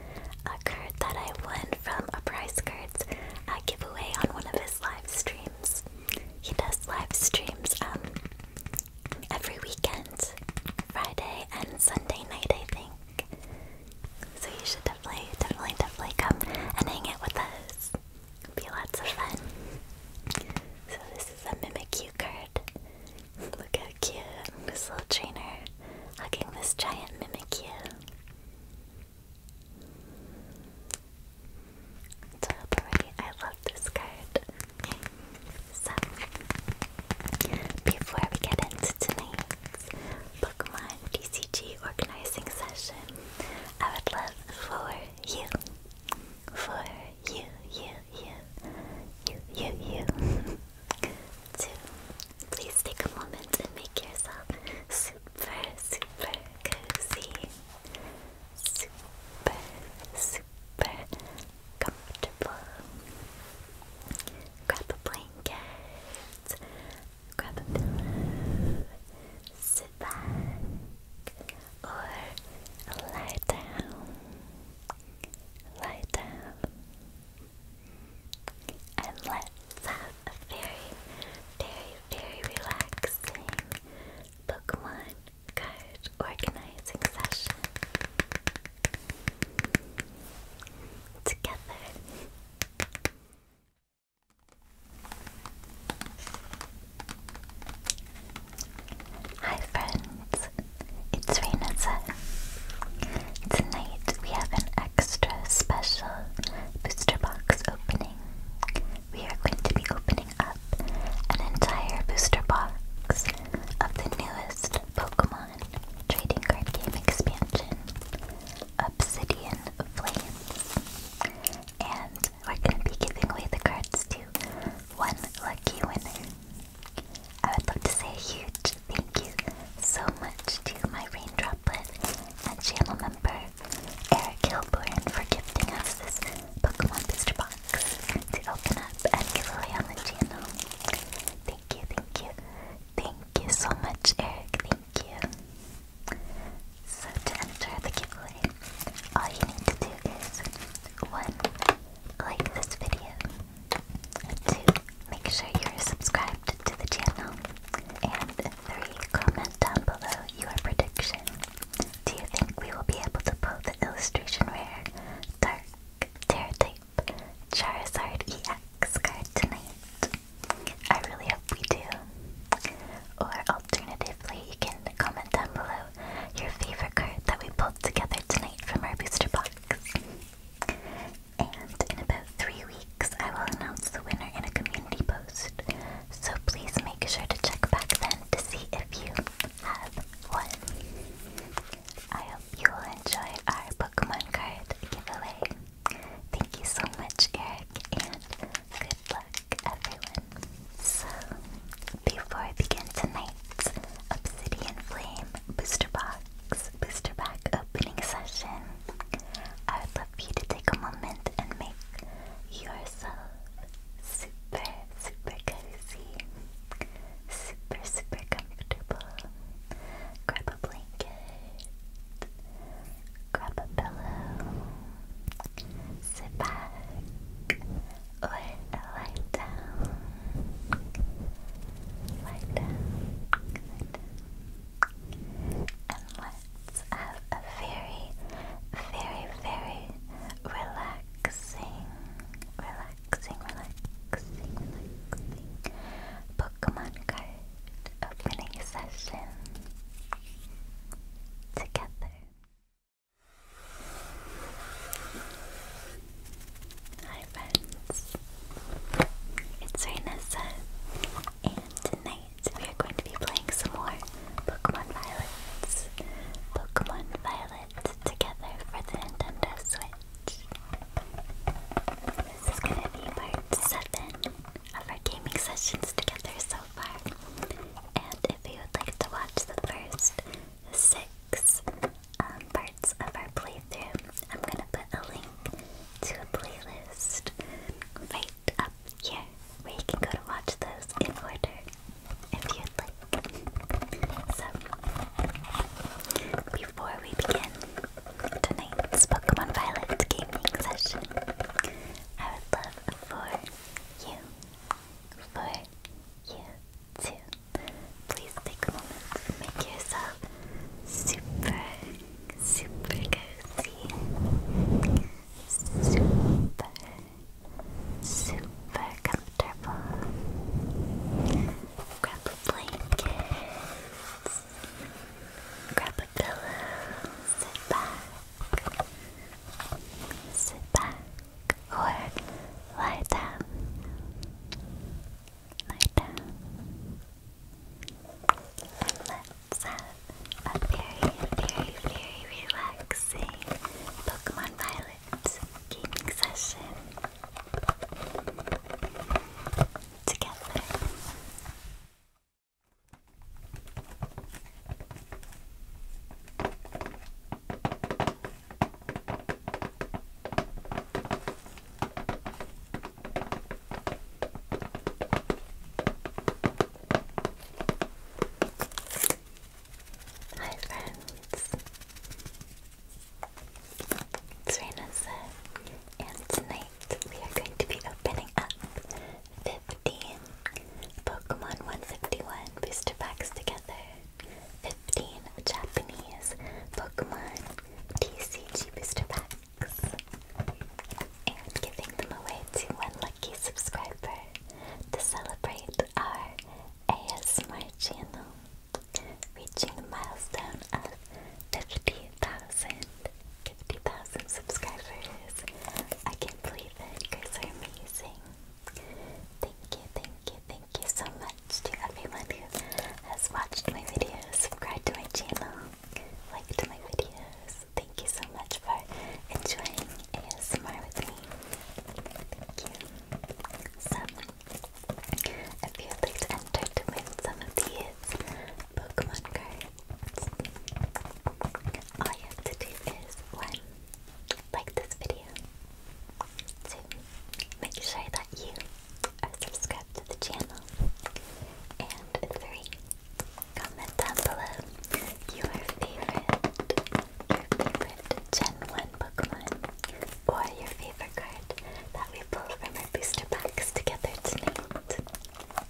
a card that I won from a prize cards giveaway on one of his live streams. He does live streams um, every weekend, Friday and Sunday night, I think. So you should definitely, definitely, definitely come and hang out with us. It'll be lots of fun. So this is a Mimikyu card. Look how cute this little trainer hugging this giant Mimikyu. Totally, I love this card. So, before we get into tonight's Pokemon DCG organizing session, I would love for you, for you, you, you, you, you, you, two. Please take a moment and make yourself super, super cozy. Super, super comfortable. Grab a blanket. Grab a pillow. Sit back or lie down. Lie down. And let's have a very, very, very relaxing Pokemon card organizing session together. Hi friends, it's Renata Tonight we have an extra special booster box opening. We are going to be opening up an entire booster box of the newest Pokemon trading card game expansion, Obsidian Flames. And we're going to be giving away the cards to one lucky winner. I would love to say a huge thank you so much to my rain droplet and channel member Eric Hilborn for gifting us this Pokemon Booster Box to open up and give away on the channel. Thank you, thank you, thank you so much, Eric. Thank you. So to enter the giveaway, all you need to do is one, like this video. Two, make sure you're subscribed to the channel. And three, comment down below your prediction. Do you think we will be able to pull the illustration rare Dark Terratype Charizard EX card tonight? I really hope we do. Or alternatively, you can comment down below your favorite card that we pulled together tonight from our booster box and in about three weeks I will announce the winner in a community post. So please make sure to check back then to see if you have won. I hope you will enjoy our Pokemon card giveaway. Thank you so much, Eric, and good luck, everyone. So, before I begin tonight's Obsidian Flame booster box, booster pack opening session. I would love you to take a moment and make yourself super, super cozy, super, super comfortable. Grab a blanket, grab a pillow, sit back, or lie down. Lie down, lie down. And let's have a very, very, very relaxing, relaxing, relaxing, relaxing Pokemon card opening session together. Hi friends, it's Renessa, and tonight we are going to be playing some more Pokemon Violet. Pokemon Violet together for the Nintendo Switch. This is going to be part 7 of our gaming sessions together so far. And if you would like to watch the first six um, parts of our playthrough, I'm going to put a link to a playlist right up here where you can go to watch those in order if you'd like. before we begin tonight's Pokemon Violet gaming session, I would love for you, for you to please take a moment and make yourself super super cozy, super, super comfortable. Grab a blanket, grab a pillow, sit back, sit back, or lie down. Lie down let's have a very, very, very relaxing Pokemon Violet gaming session together. Hi friends! It's Raina and tonight we are going to be opening up 15 Pokemon 151 booster packs together. 15 Japanese Pokemon TCG booster packs and giving them away to one lucky subscriber to celebrate our ASMR channel reaching the milestone of 50,000 50,000 subscribers. I can't believe it. You guys are amazing. Thank you, thank you, thank you so much to everyone who has watched my videos, subscribed to my channel, liked my videos. Thank you so much for enjoying a ASMR with me. Thank you. So, if you'd like to enter to win some of these Pokemon cards, all you have to do is one, like this video, two, make sure that you are subscribed to the channel, and three, Comment down below your favorite, your favorite Gen 1 Pokemon, or your favorite card that we pulled from our booster packs together tonight.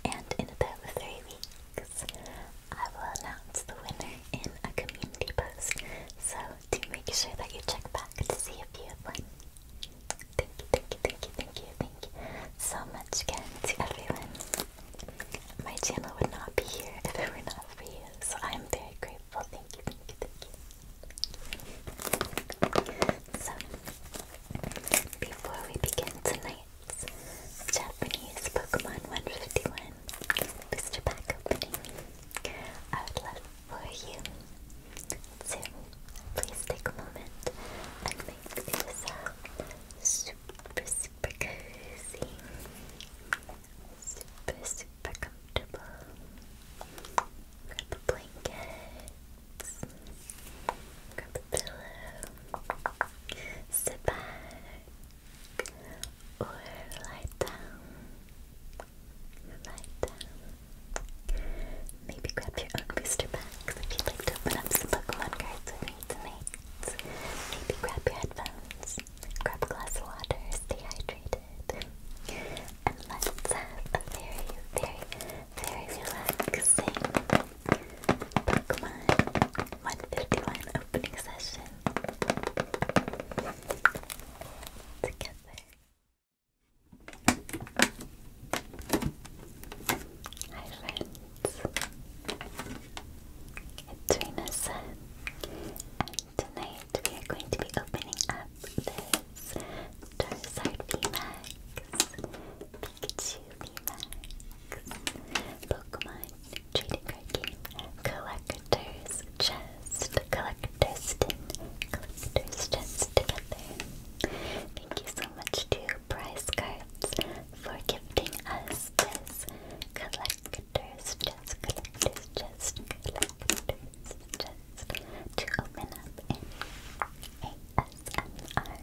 And in about three weeks, I will announce the winner in a community post. So do make sure that you check back to see if you have won. Thank you, thank you, thank you, thank you, thank you so much again to everyone. My channel would not be here if it were not for you, so I am very grateful. Thank you, thank you, thank you. So, before we begin tonight's Japanese Pokemon 151 booster pack opening, I would love for you soon. Please take a moment and make this super, super cozy, super, super comfortable. Grab a blanket, grab a pillow, sit back, or lie down. Lie down. Maybe grab your own booster packs if you'd like to open up some Pokemon cards with me tonight. Maybe grab your headphones, grab glass of water, stay and let's have a very, very, very relaxing Pokemon 151 opening session together. Hi friends, it's Rina tonight we are going to be opening up this Charizard VMAX, Pikachu VMAX, Pokemon Trading Card Game, Collector's Chest, Collector's Tin, Collector's Chest together. Thank you so much so much to Prize Cards for gifting us this collector's chest, collector's chest, collector's chest to open up in ASMR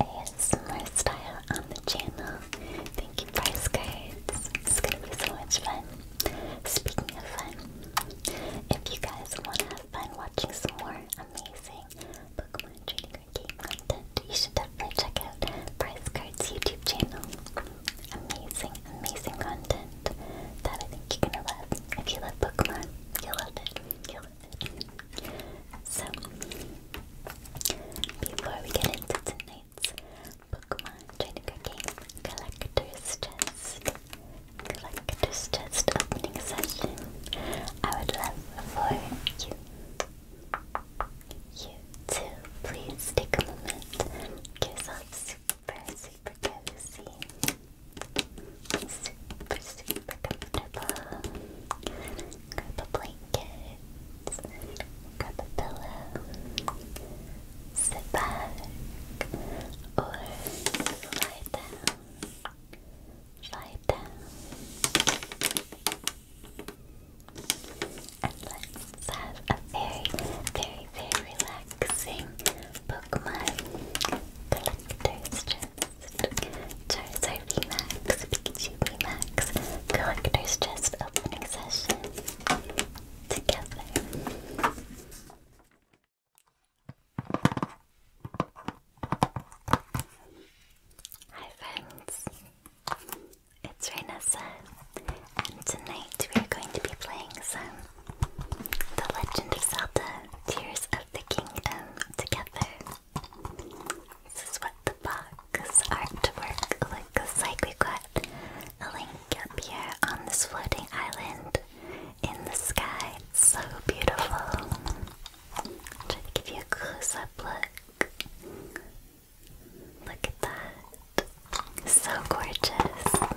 ASMR style on the channel. Thank you, Prize Cards. It's gonna be so much fun. Speaking of fun, if you guys want to have fun watching some more amazing Pokemon trading soccer game content, you should definitely check out Prize Card's YouTube channel. Amazing, amazing content that I think you're gonna love. If you love Pokemon, you'll love it. You'll love it. So, before we get into tonight's Pokemon trading card game, Collector's Chest, Collector's Chest opening session, I would love for you. You too, please take a moment and get yourself super, super cozy. Super, super comfortable. Grab a blanket, grab a pillow, sit back, or lie down. Slide down. And let's have a very, very, very relaxing Pokemon Collector's Chest. Charizard VMAX, Pikachu VMAX, Collector's Chest opening session together. Hi friends, it's Rainessa, and tonight we are going to be playing some The Legend of Zelda Tears of the Kingdom together. This is what the box artwork looks like. we got a link up here on this floating island in the sky. so beautiful. I'll try to give you a close-up look. Look at that. So gorgeous.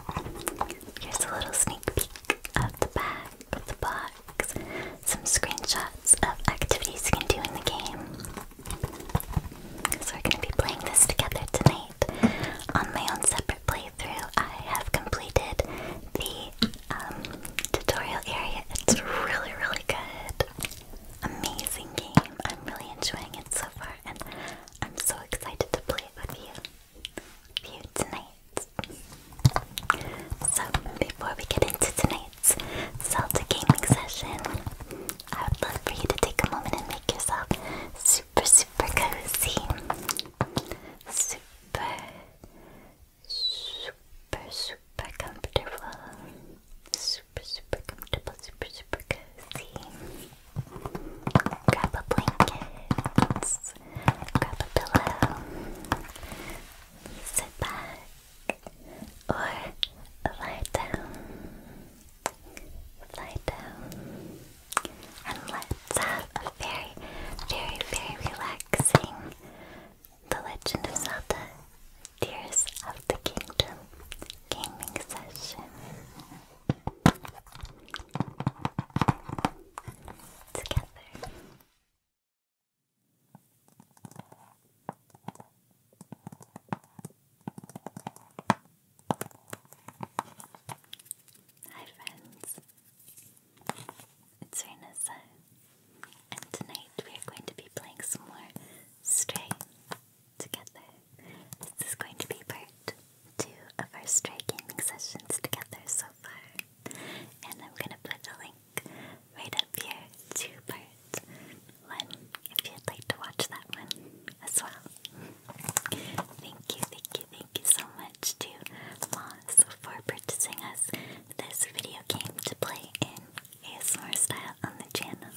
Here's a little sneak peek of the back of the box. Some screenshots of activities you can do in the game. So we're going to be playing this together tonight. On my own separate playthrough, I have completed the um, tutorial area. It's really, really good. Amazing game. I'm really enjoying it so far, and I'm so excited to play it with you, with you tonight. So, before we get into tonight's Zelda gaming session, I would love for you to take a moment and make yourself super, super cozy. Super, super, super comfortable. Super, super comfortable, super, super cozy. Grab a blanket, grab a pillow, sit back, or lie down. Lie down. And let's have a very, very, very relaxing the Legend of Zelda Tears of the Kingdom Gaming Session. Together. Hi friends, it's Renessa. And tonight we are going to be playing some more Stray together. This is going to be part two of our Stray gaming sessions together so far. And I'm going to put a link right up here to part one if you'd like to watch that one as well. Thank you, thank you, thank you so much to Moss for purchasing us this video game to play in ASMR style on the channel.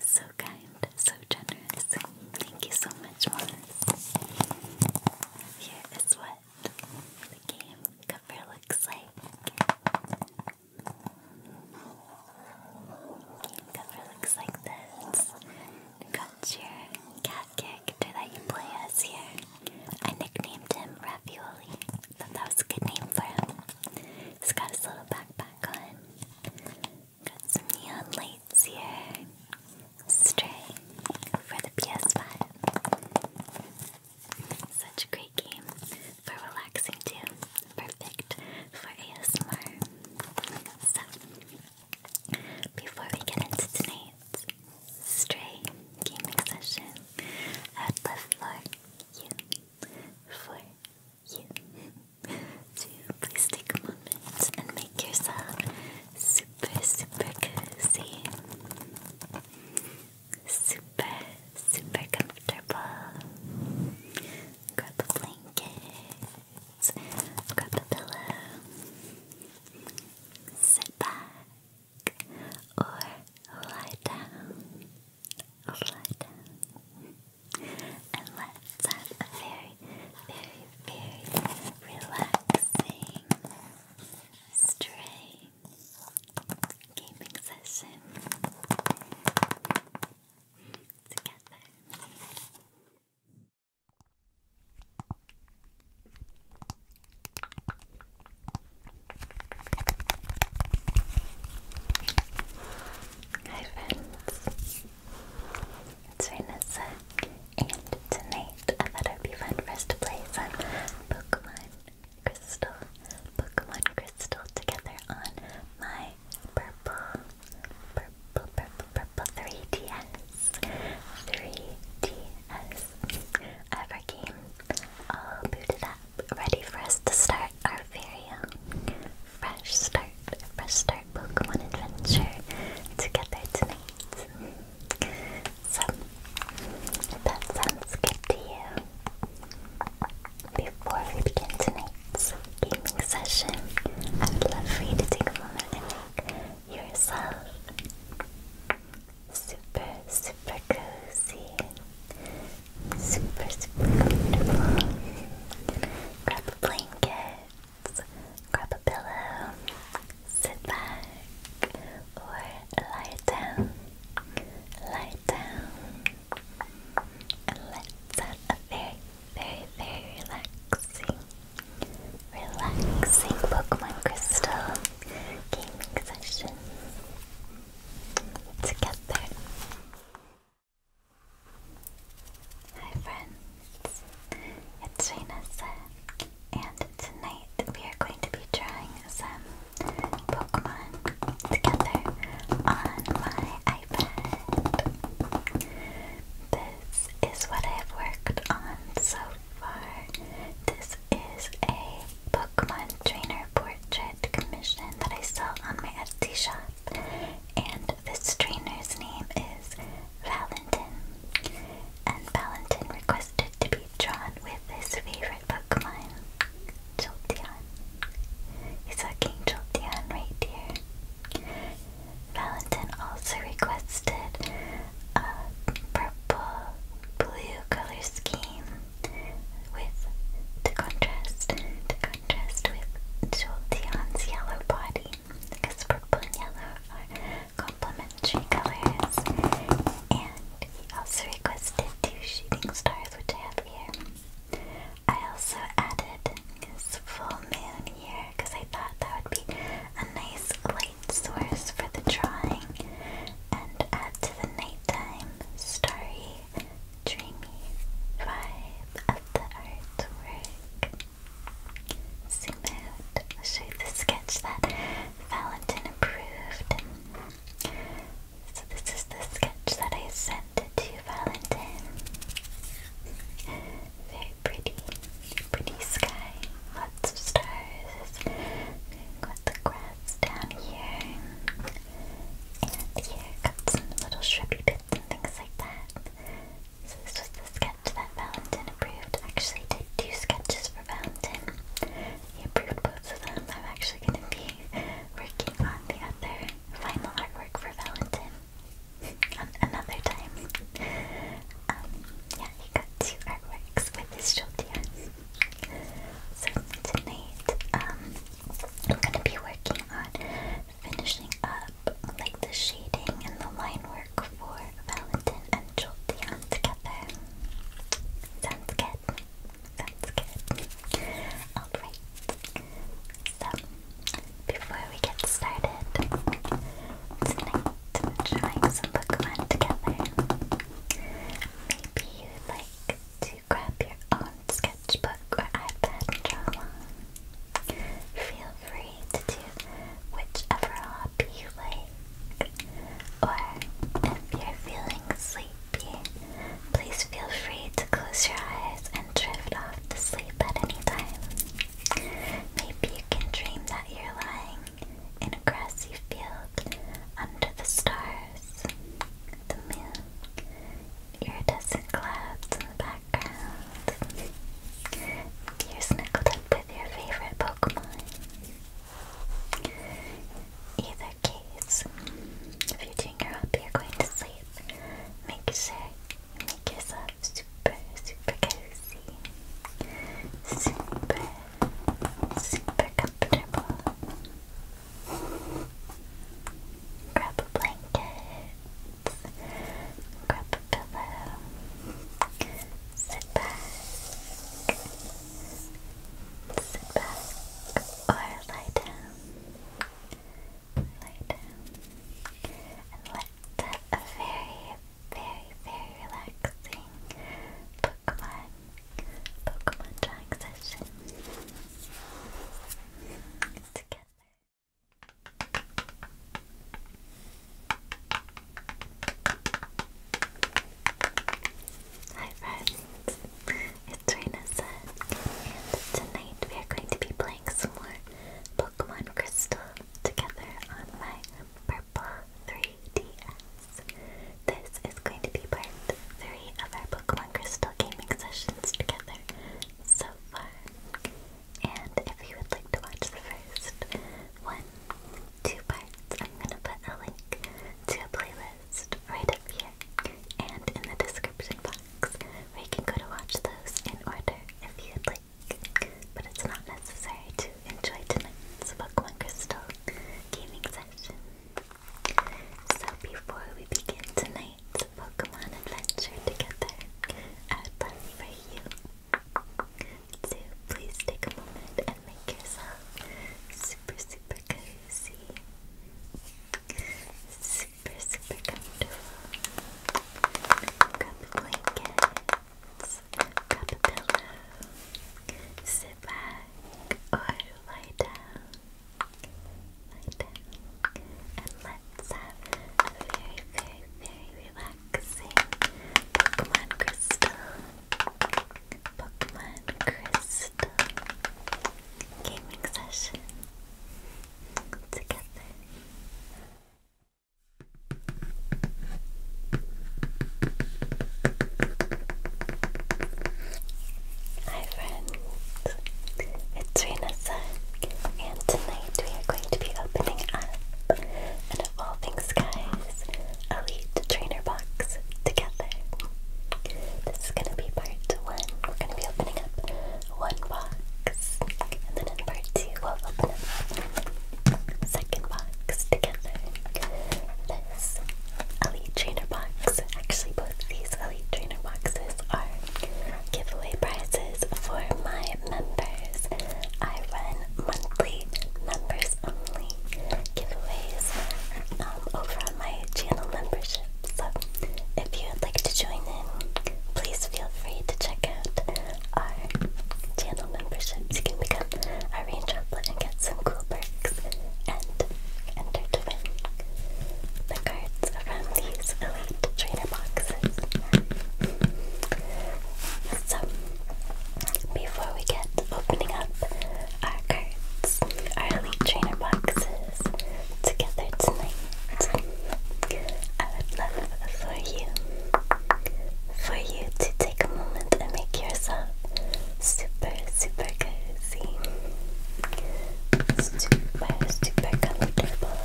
So kind, so generous. Thank you so much, Morris. Here is what the game cover looks like. Game cover looks like this. Got your cat character that you play as here. I nicknamed him Ravioli. Thought that was a good name for him. He's got his little backpack on. Got some neon lights here. Stray for the PS5. Such a great game for relaxing too. Perfect for ASMR. So, before we get into tonight's stray gaming session, I'd love for you, for you to please take a moment and make yourself super, super cozy, super, super comfortable. Grab a blanket, grab a pillow, sit back or lie down, lie down, and let's have a very, very, very relaxing, stray gaming session together. Hi friends, it's Renessa, and tonight I thought it would be fun for us to play some Pokemon Crystal, Pokemon Crystal together on my purple, purple, purple, purple 3DS, 3DS. I game all booted up, ready for us to start our very fresh start, fresh start Pokemon adventure together tonight. So, that sounds good to you, before we begin tonight's gaming session, I would love for you to take a moment and make yourself super, super cozy, super, super comfortable. Grab a blanket, grab a pillow, sit back, or lie down, lie down, and let's have a very, very, very relaxing, relaxing Pokemon Crystal gaming session together. Hi friends, it's Rainasa, and tonight we are going to be drawing some Pokemon together on my iPad. This is what I've worked on so far. This is a Pokemon trainer portrait commission that I saw on my Etsy shop. And this trainer's name is Valentin. And Valentin requested to be drawn with his favorite Pokemon, Jolteon. He's looking Jolteon right here. Valentin also requested a purple blue color scheme with the contrast to contrast with Jolteon's yellow body because purple and yellow are complementary colors and he also requested two shooting stars which I have here. I also added this full moon here because I thought that would be a nice light source for the drawing and add to the nighttime starry dreamy vibe of the artwork. Zoom out. I'll show you the sketch that Valentin approved. So this is the sketch that I sent to Valentin. Very pretty, pretty sky, lots of stars the grass down here. And here got some little shrubby bits and things like that. So this was the sketch that Valentin approved. Actually I did two sketches for Valentine. He approved both of them. I'm actually gonna be working on the other final artwork for Valentin. Another time. Um, yeah, he got two artworks with his shoulders. So tonight, um, I'm gonna be working on finishing up like the shading and the line work for Valentine and Jolteon together. Sounds good. Sounds good. Alright. So before we get started, tonight we some Pokemon together. Maybe you'd like to grab your own sketchbook or iPad and draw along. Feel free to do whichever hobby you like. Or if you're feeling sleepy, please feel free to close your eyes and drift off to sleep at any time. Maybe you can dream that you're lying in a grassy field under the stars, the moon, Iridescent clouds in the background. You're snuggled up with your favorite Pokemon. Either case, if you're doing your up, you're going to sleep. Make sure you make yourself super, super cozy. Super, super comfortable. Grab a blanket. Grab a pillow. Sit back. Sit back. Or lie down. Lie down. And let a very, very, very relaxing Pokemon Pokemon drawing session together. Hi friends, it's Rina and tonight we are going to be playing some more Pokemon Crystal together on my purple 3DS. This is going to be part 3 of our Pokemon Pokemon Crystal gaming sessions together so far. And if you would like to watch the first one, two parts, I'm gonna put a link to a playlist right up here and in the description box where you can go to watch those in order if you'd like. But it's not necessary to enjoy tonight's Pokemon Crystal gaming session. So before we begin tonight's Pokemon adventure together, I would love for you to please take a moment and make yourself super, super cozy, super, super comfortable. Grab a grab a sit back or lie down lie down, and let's have a very, very, very relaxing Pokemon Crystal. Pokemon Crystal gaming session together. Hi friends, it's Renessa, and tonight we are going to be opening up an things Skies Elite Trainer Box together. This is going to be part one. We're going to be opening up one box, and then in part two, we'll open up second box together. This elite trainer box. Actually, both these elite trainer boxes are giveaway prizes for my members. I run monthly members only giveaways um, over on my channel membership. So, if you would like to join in, please feel free to check out our channel membership to become a rain and get some cool perks and entertaining. The cards from these elite trainer boxes. So, before we get opening up our cards, our elite trainer boxes together tonight, I would love for you, for you to take a moment and make yourself super, super cozy super, super comfortable.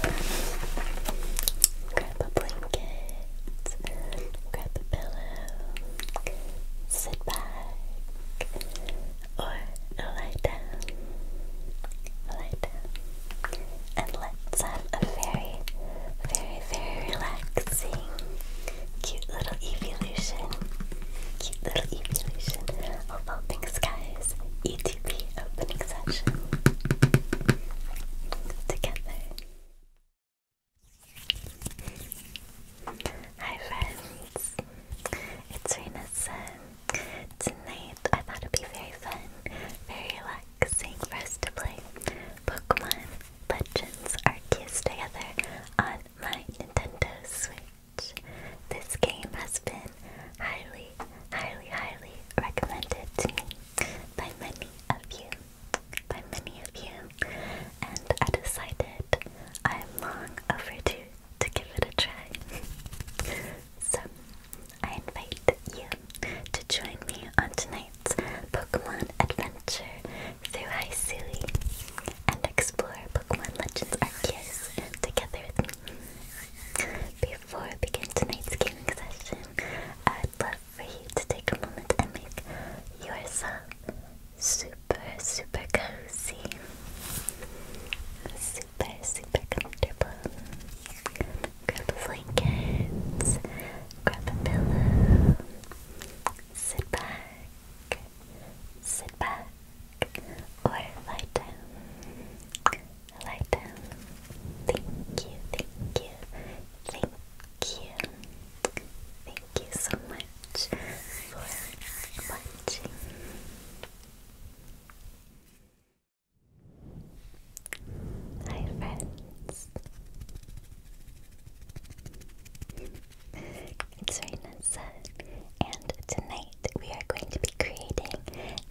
Grab a blanket, grab a pillow, sit back, or lie down, lie down, and let's have a very, very, very relaxing, cute little evolution little emulation of Vaulting Skies ETP opening session together. Hi friends, it's Renessa. Tonight I thought it'd be very fun, very relaxing for us to play Pokemon Legends Arceus together on my Nintendo Switch. This game has been highly, highly, highly recommended to me by many of you. By many of you. And I decided I'm long overdue to give it a try. so I invite you to join me on tonight's Pokemon adventure through Hisui and explore Pokemon Legends Arceus together with me. Before we begin tonight's gaming session, I'd love for you to take a moment and make yourself super, super cozy, super, super comfortable. Grab the blankets, grab the pillow, sit back, sit back, or lie down. Lie down. Thank you, thank you, thank you. Thank you so much for watching. Hi friends. It's Raina and tonight we are going to be creating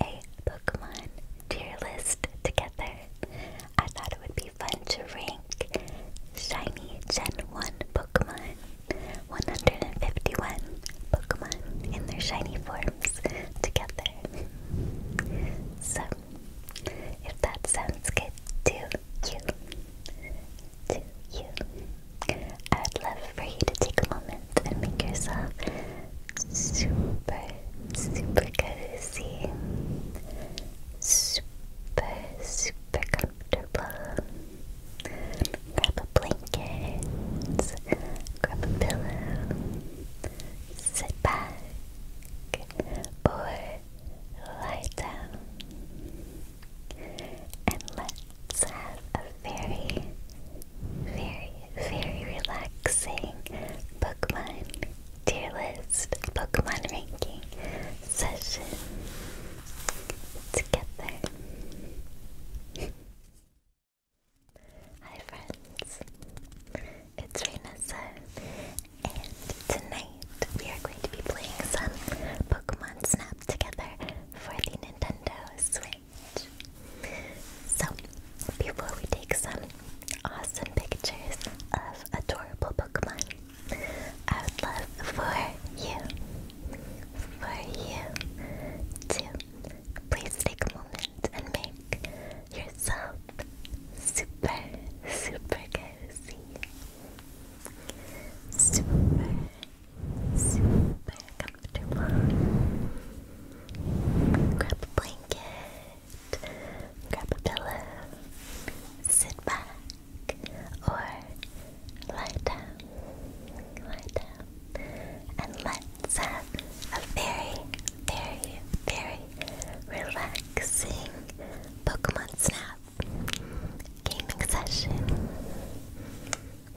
a Pokemon tier list together. I thought it would be fun to rank shiny Gen 1 Pokemon, 151 Pokemon in their shiny forms together. So, if that sounds good to you, to you, I would love for you to take a moment and make yourself super, super cozy, super, super comfortable. Grab a blanket, grab a pillow, sit back, or lie down, and let Let's have a very, very, very relaxing Pokemon tier list, Pokemon ranking session together. Hi friends, it's Renessa, and tonight we are going to be playing some Pokemon Snap together for the Nintendo Switch. So, before we take some awesome pictures of adorable Pokemon, I would love for you, for you to please take a moment and make yourself super, super cozy. Super, super comfortable. Grab a blanket, grab a pillow, sit back, or lie down, lie down, and let's have a very, very, very relaxing Pokemon Snap gaming session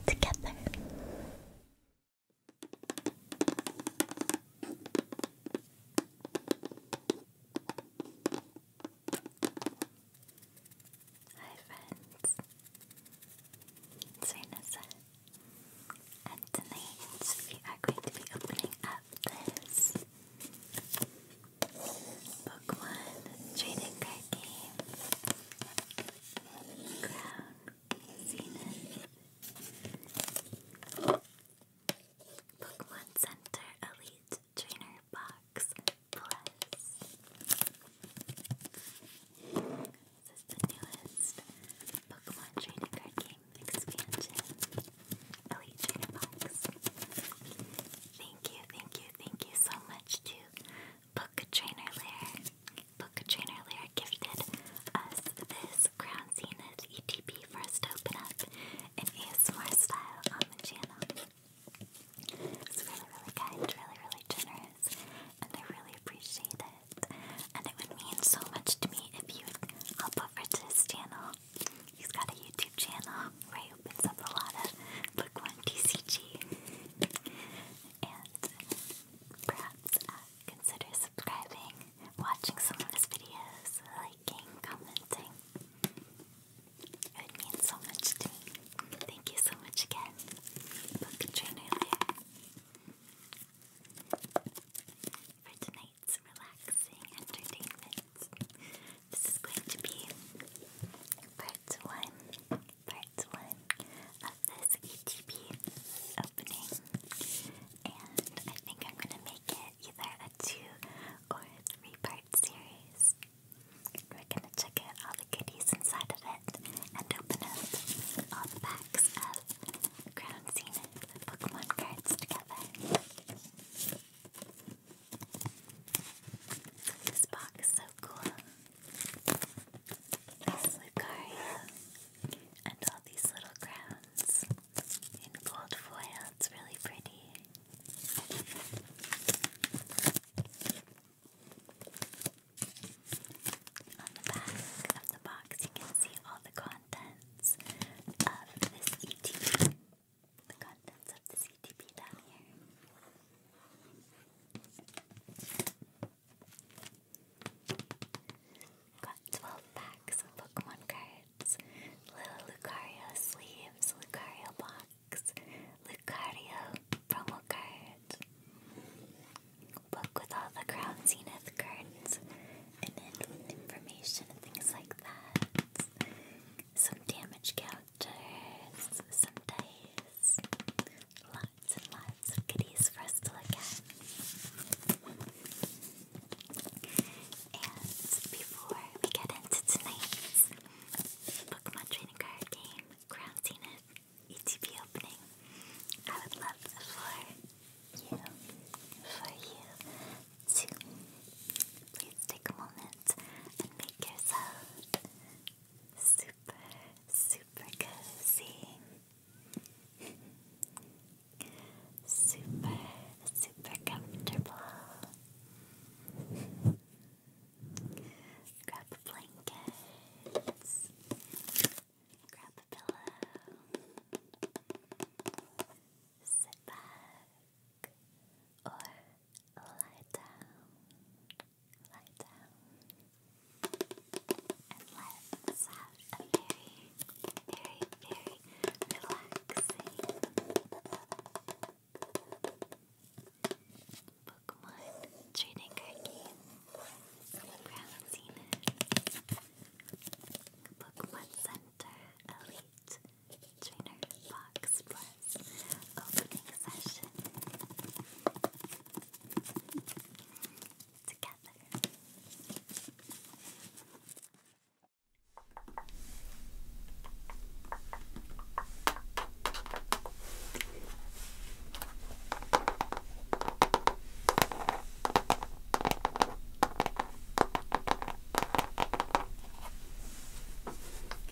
together. Hi friends, it's and tonight are going to be opening up this Book One Trading Card Game Pokemon Center Elite Trainer Box Plus. This is the newest Pokemon Trading Card Game expansion. Elite Trainer Box. Thank you, thank you, thank you so much to Book Trainer Lair. Book Trainer Lair gifted us this Crown Zenith ETP for us to open up in ASMR style on the channel. It's really, really kind, really, really generous, and I really appreciate it. And it would mean so much to me if you would hop over to his channel. He's got a YouTube channel where opens up a lot of Book One TCG. And perhaps uh, Consider subscribing, watching some of his videos, liking, commenting. It would mean so much to me. Thank you so much again. Book trainer For tonight's relaxing entertainment, this is going to be part one part one of this ETB opening, and I think I'm gonna make it either a two or a three part series. We're gonna check out all the goodies inside of it and open up all the packs of Crown Zenith Pokemon cards together. this box is so cool. This and all these little crowns in gold foil. It's really pretty. On the back of the box, you can see all the contents of this ETP. The contents of this ETP down here. Got 12 packs of Pokemon cards. Little Lucario sleeves, Lucario box, Lucario promo card. Book with all the Crown Zenith cards and information and things like that. Some damage counters, some dice, lots and lots of goodies for us to look at. And before we get into tonight's Pokemon Trading Card Game Crown Zenith ETB opening, I would love for you, for you to please take a moment and make yourself super, super cozy. Super, super comfortable. Grab a blanket. Grab a pillow. Sit back or lie down. Lie down and let's have a very, very, very relaxing Pokemon trading card game. Brownsina, Pokemon Center Elite Trainer Box Plus Opening Session.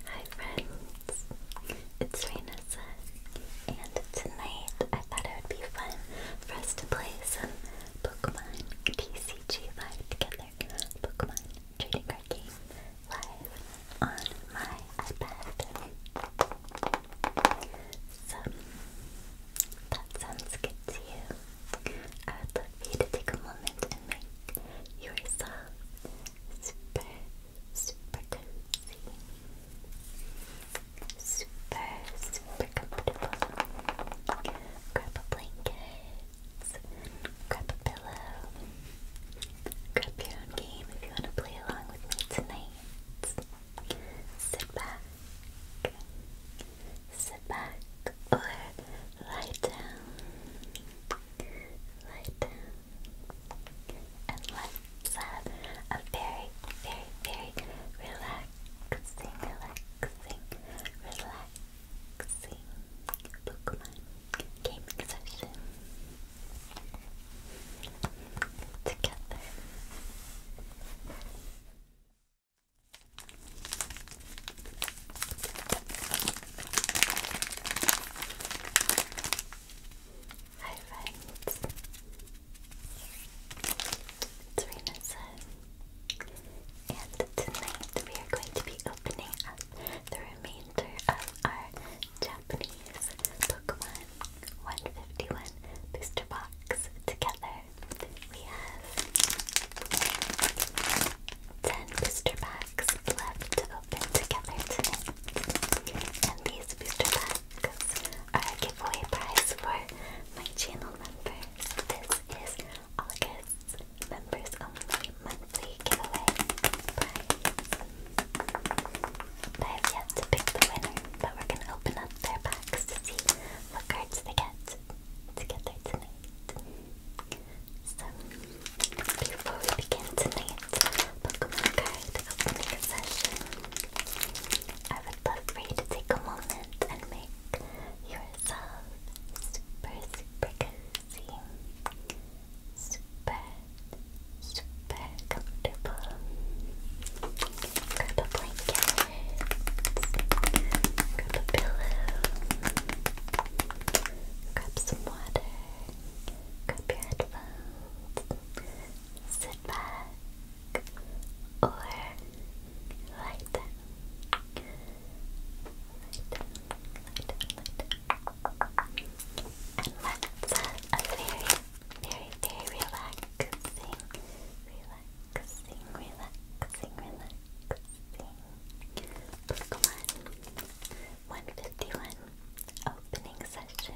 Hi friends, it's Raina said and tonight I thought it would be fun for us to play some Pokemon TCG Live together. Pokemon trading card game live on my iPad. So that sounds good to you. I would love you to take a moment and make yourself super, super cozy. Super, super comfortable. Grab a blanket, grab a pillow, grab your own game if you want to play along with me tonight. Sit back, sit back, or lie down, lie down, and let's have a very, very, very relaxed relaxing, relaxing, relaxing Pokemon gaming session together. Hi friends, it's Renessa. And tonight we are going to be opening up the remainder of our Japanese Pokemon 151 booster box together. We have 10 booster packs left to open together today. And these booster packs because our giveaway prize for my channel members. This is August's members of my monthly giveaway prize. I have yet to pick the winner, but we're gonna open up their box to see what cards they get to tonight. So, before we begin tonight, Pokemon card opening session. I would love for you to take a moment and make yourself super, super cozy, super, super comfortable. Grab a blanket, grab a pillow, grab some water, grab your headphones, sit back or light. Light, light, light. And that's a very, very, very relaxing, relaxing, relaxing, relaxing Pokemon 151 opening session.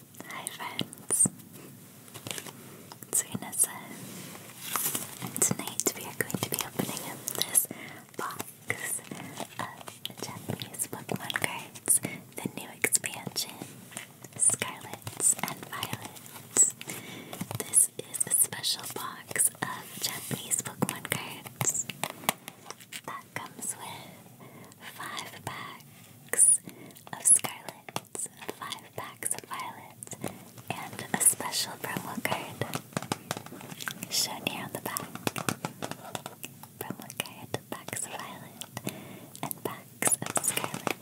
Hi friends, it's Vanessa, tonight we are going to be opening up this box of Japanese Pokemon cards, the new expansion, Scarlet and Violet. This is a special box of Japanese Pokemon cards that comes with five packs of Scarlet, five packs of Violet, and a special promo card shown here on the back. Promo card, packs of Violet, and packs of Scarlet.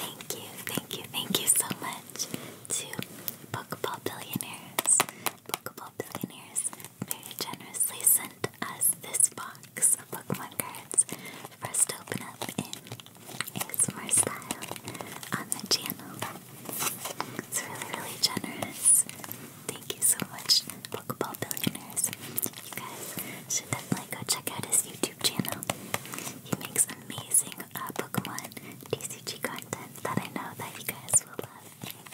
Thank you, thank you, thank you so much to Pokeball Billionaires, Pokeball Billionaires very generously sent us this box of Pokemon cards for to open up in ASMR on the channel. It's really, really generous. Thank you so much, Pokeball Billionaires. You guys should definitely go check out his YouTube channel. He makes amazing uh, Pokemon DCG content that I know that you guys will love.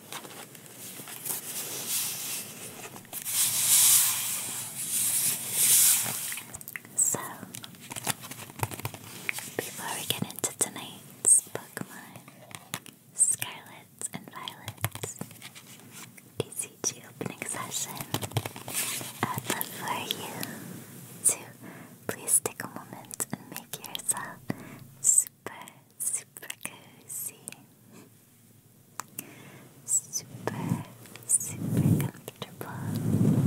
So, before we get into tonight's Pokemon, Scarlet and Violet, ECG opening session, I'd love for you to please take a moment and make yourself super super cozy, super, super comfortable.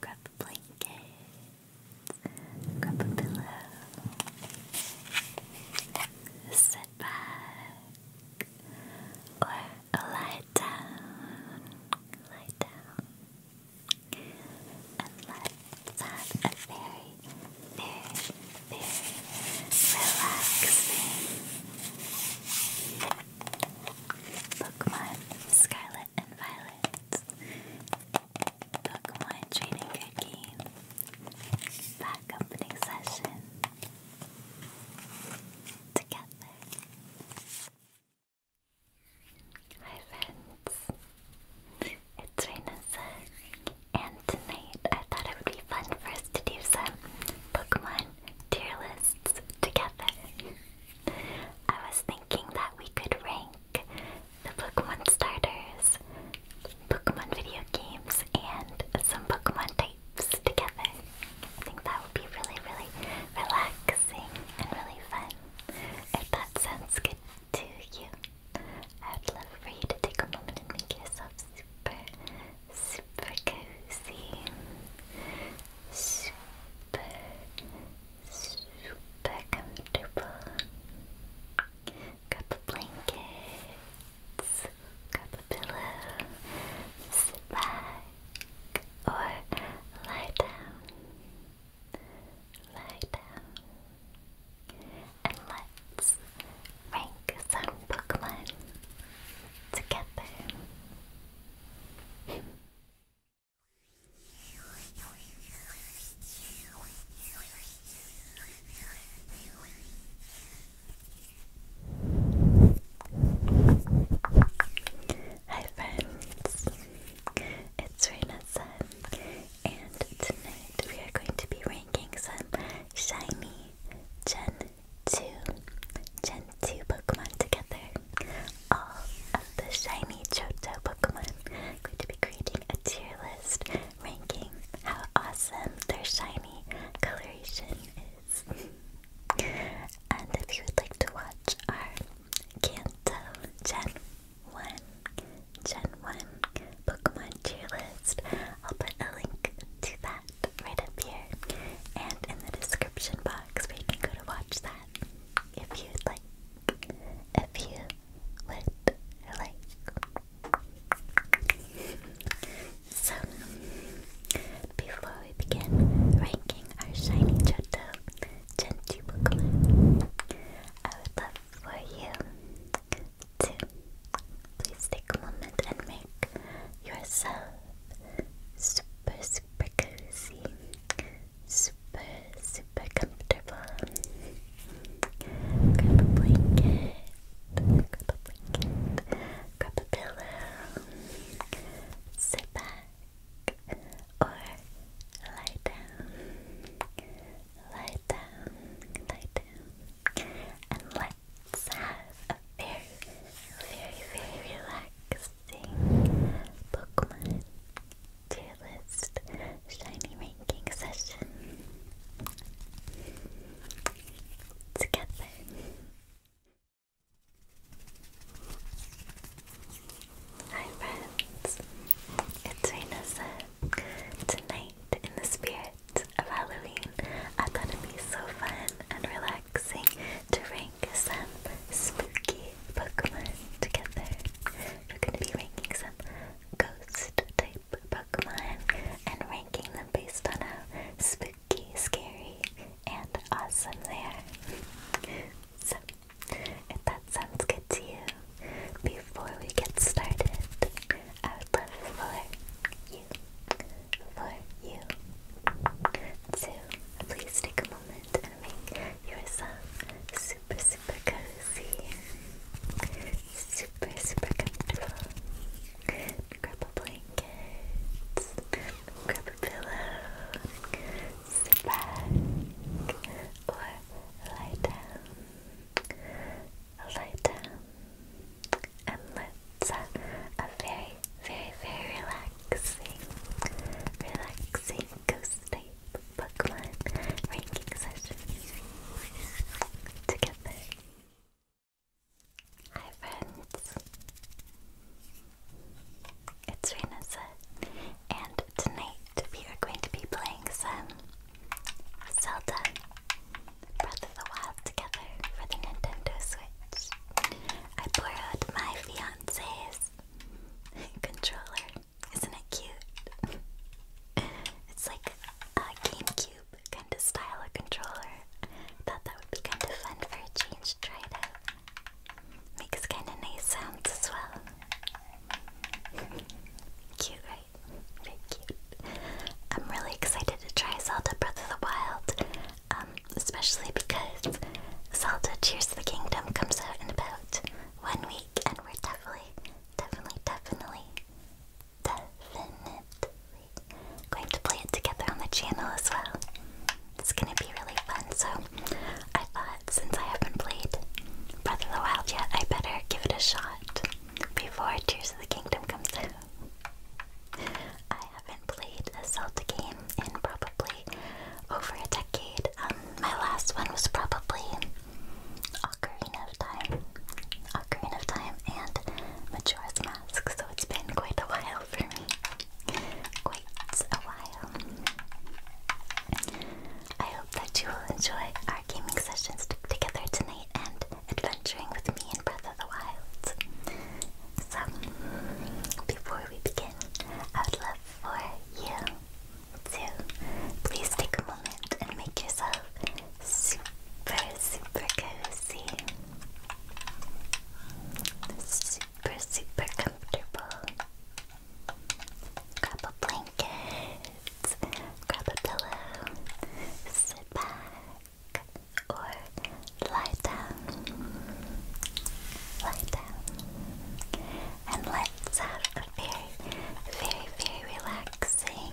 Grab a blanket, grab a pillow, sit back, or lie down, lie down. And let very, very, very relaxing Pokemon Scarlet and Violet Pokemon Trading Game Back session together. Hi friends, it's Reynosa, and tonight I thought it would be fun for us to do some Pokemon tier lists together. I was thinking that we could rank the Pokemon starters, Pokemon video games, and some Pokemon types together. I think that would be really, really relaxing and really fun. If that sounds good it to you. I would love for you to take a moment and make yourself super, super cozy. Super, super comfortable. Grab a blanket, grab a pillow, sit back, or lie down. Lie down. And let's rank some Pokemon together. Hi friends, it's Rena Sun, and tonight we are going to be ranking some shiny Gen 2, Gen 2 Pokemon together. All of the shiny Johto Pokemon. I'm going to be creating a tier list ranking how awesome their shiny coloration is. and if you would like to watch our Kanto Gen 1, Gen 1 Pokemon tier list. I'll put a link to that right up here and in the description box where you can go to watch that if you'd like. If you would like. so, before we begin ranking our shiny Johto Gen 2 Pokemon, I would love for you to please take a moment and make yourself super, super cozy, super, super comfortable. Grab a blanket, grab a blanket, grab a pillow, sit back or lie down lie down, lie down, and let's have a very, very, very relaxing Pokemon tier list shiny ranking session together. Hi friends, it's Rena Tonight, in the spirit of Halloween, I thought it'd be so fun and relaxing to rank some spooky Pokemon together. We're going to be ranking some ghost type Pokemon and ranking them based on how spooky, scary, and awesome they are. so, if that sounds good to you, before we get started, I would love for you, for you, to please take a moment and make yourself super, super cozy, super, super comfortable. Grab a blanket, grab a pillow, sit back, or lie down lighter, and let's uh, a very, very, very relaxing, relaxing ghost type Pokemon ranking session together. Hi friends, it's Renessa, and tonight we are going to be playing some Zelda Breath of the Wild together for the Nintendo Switch. I borrowed my fiance's controller. Isn't it cute? it's like a GameCube kind of style of controller. Thought that would be kind of fun for a change. Try it Makes kind of nice sounds as well. Cute, right? Very cute. I'm really excited to try Zelda Breath of the Wild, um, especially because Zelda Tears of the Kingdom comes out in about one week, and we're definitely, definitely, definitely, definitely going to play it together on the channel as well. It's gonna be really fun, so I thought since I haven't played Breath of the Wild yet, I better give it a shot lot before Tears of the Kingdom comes out. I haven't played a Zelda game in probably over a decade. Um, my last one was probably Ocarina of Time. Ocarina of Time and Majora's Mask, so it's been quite a while for me. Quite a while. I hope that you will enjoy gaming sessions together tonight and adventuring with me in Breath of the Wild. So, before we begin, I would love for you to please take a moment and make yourself super, super cozy, super, super comfortable. Grab a blanket grab a pillow, sit back, or lie down. Lie down. And let's have a very, very, very relaxing,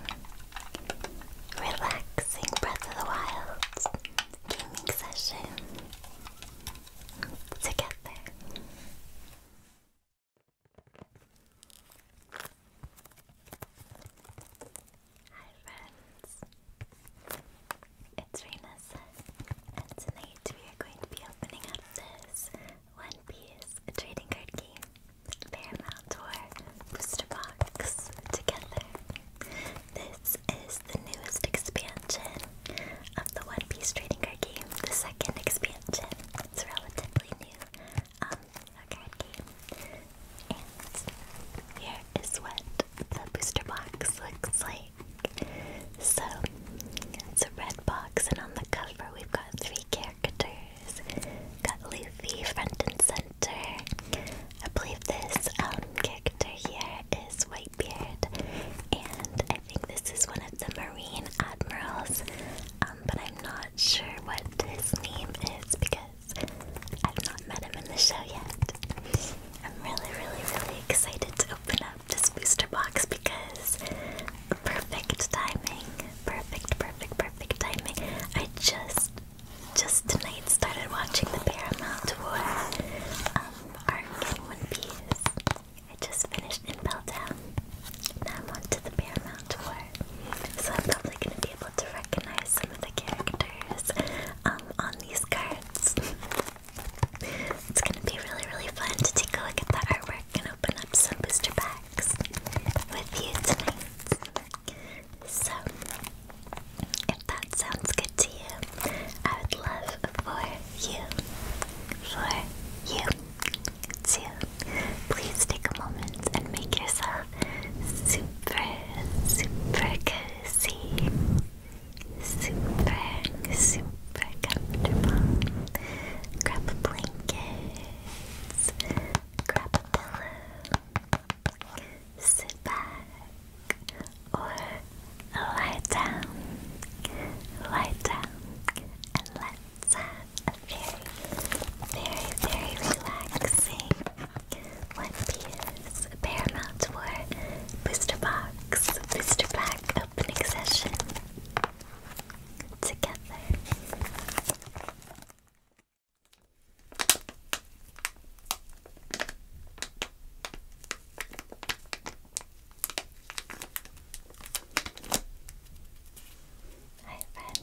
relaxing Breath of the Wild gaming session together. Hi friends, it's Remus, and tonight we are going to be opening up this One Piece trading card game, Paramount War Booster Box together. This is the newest expansion of the One Piece trading card game, the second expansion. It's relatively new. Um, a And here is what the booster box looks like. So it's a red box, and on the cover we've got three characters. got Luffy front and center. I believe this um, character here is Whitebeard, and I think this is one of the Marine Admirals. Um, but I'm not sure what his name is because I've not met him in the show yet. I'm really, really, really excited to open up this booster box because perfect timing. Perfect, perfect, perfect timing. I just, just tonight started watching the Paramount War um, arc in One Piece. I just finished in Down. Now I'm on to the Paramount so I'm probably going to be able to recognize some of the characters um, on these cards. it's going to be really, really fun to take a look at the artwork and open up some booster packs with you tonight. So, if that sounds good to you, I would love for you, for you, two, please take a moment and make yourself super, super cozy, super, super comfortable. Grab a blanket, grab a pillow, sit back, or lie down, lie down, and let uh, very, very, very relaxing One Piece Paramount War Booster Box Booster Pack opening session together. Hi friends,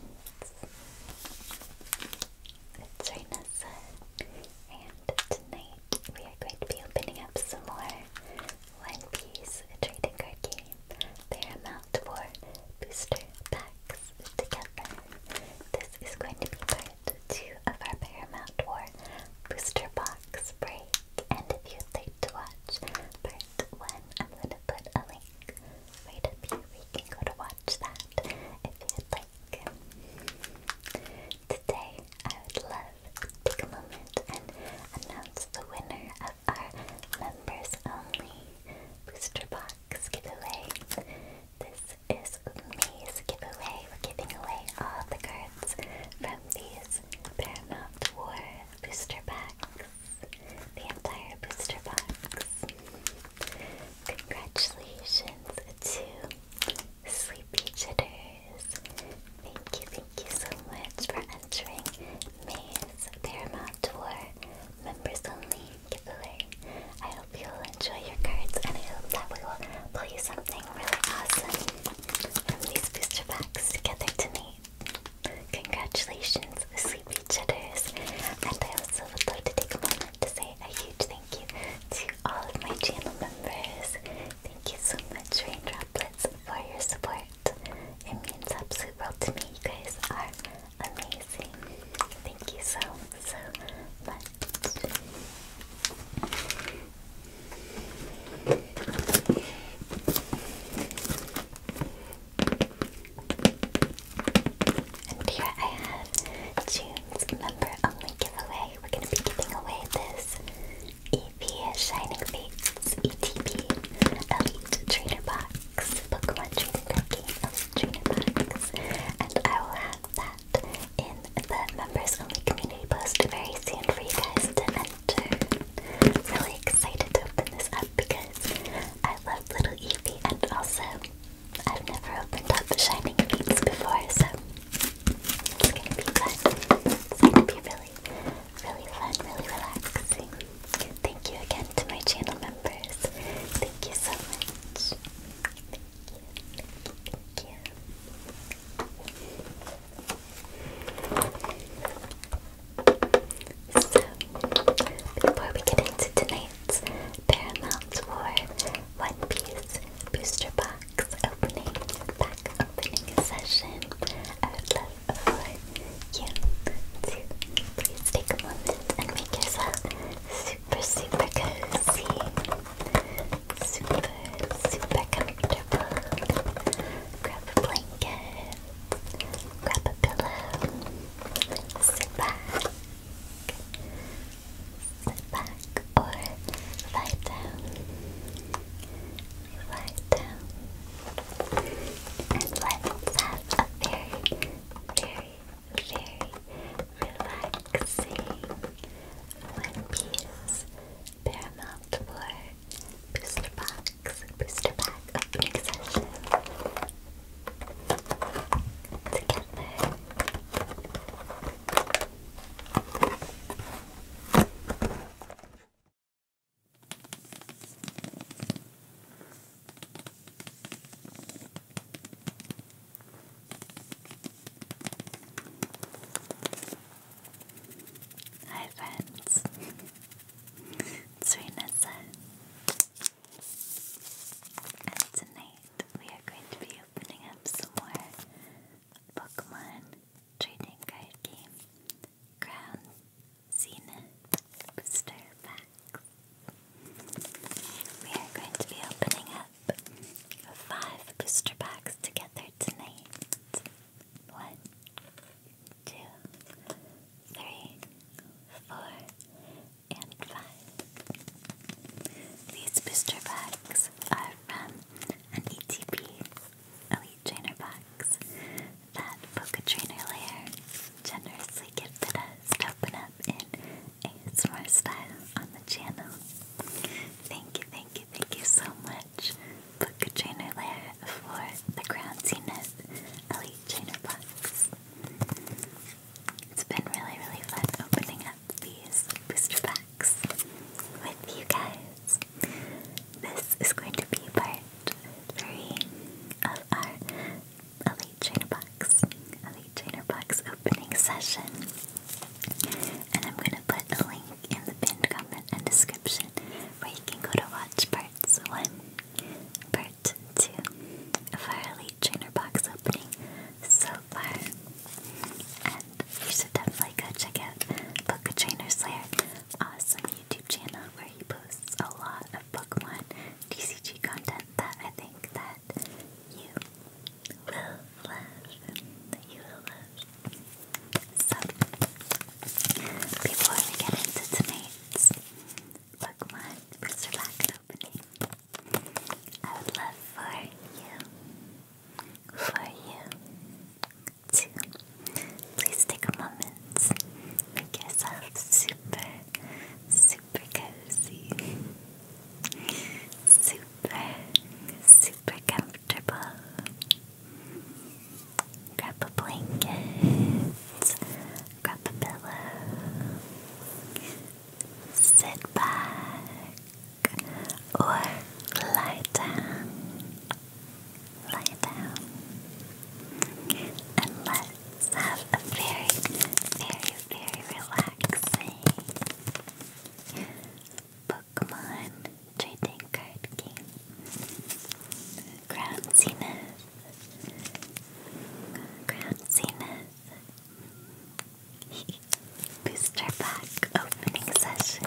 it's Renessa, and tonight we are going to be opening up some more One Piece trading card game. They are Mount War booster packs together. This is going to be part two of our Paramount War booster box break. And if you'd like to watch part one, I'm going to put a link right up here where you go to watch that if you'd like. Today, I would love to take a moment and announce the winner of our members only booster box giveaway. This is Umi's giveaway. We're giving away all the cards from these Paramount War booster packs the entire booster box. Congratulations to Sleepy Jitters. Thank you, thank you so much for entering May's Paramount Tour members only giveaway. I hope you'll enjoy your cards and I hope that we will pull you something really awesome from these booster packs together tonight. Congratulations, Sleepy Chitters. And I also would like to take a moment to say a huge thank you to all of my channel members. Thank you so much, Rain Droplets, for your support. It means absolutely world to me. You guys are amazing. Thank you so, so much. And here I have June's member only giveaway. We're gonna be giving away this EP Shining Fates ETB Elite Trainer Box, Pokemon Trainer Card Trainer Box, and I will have that in the members only community post very soon for you guys to enter. Really excited to open this up because I love Little Evie, and also I've never opened up Shining Beats before, so it's gonna be fun. It's gonna be really, really fun, really relaxing. Thank you again to my channel members. Thank you so much. Thank you. Thank you. So, before we get into tonight's Paramount War One Piece Booster Box opening, pack opening session, I would love for you to please take a moment and make yourself super, super cozy, super, super comfortable. Grab a blanket, grab a pillow sit back, sit back, or lie down, lie down, and let's have a very, very, very relaxing One Piece Paramount War booster box, booster pack opening session together. Hi friends, it's tonight we are going to be opening up some more Pokemon trading card game Crown Zenith Booster Packs. We are going to be opening up five booster packs together tonight. One, two, three, four, and five. These booster packs are from an ETB Elite Trainer box that Poke Lair generously gifted us to open up in ASMR style on the channel. Thank you, thank you, thank you so much, Poke Lair, for the ground Elite Trainer box. It's been really, really fun opening up these booster packs with you guys. This is going to be part 3 of our Elite Trainer Box, Elite Trainer Box opening session. And I'm going to put a link in the pinned comment and description where you can go to watch parts 1, part 2 of our Elite Trainer box opening so far. And you should definitely go check out Book Trainer Slayer, awesome YouTube channel where he posts a lot of Pokemon TCG content that I think that you will love. That you will love. So before we get into tonight's Pokemon Booster Box opening. I would love for you, for you, to please take a moment, make yourself super, super cozy, super, super comfortable. Grab a blanket, grab a pillow, sit back or lie down, lie down, and let's have a very, very, very relaxing Pokemon trading card game. Ground Zenith. Booster pack opening session.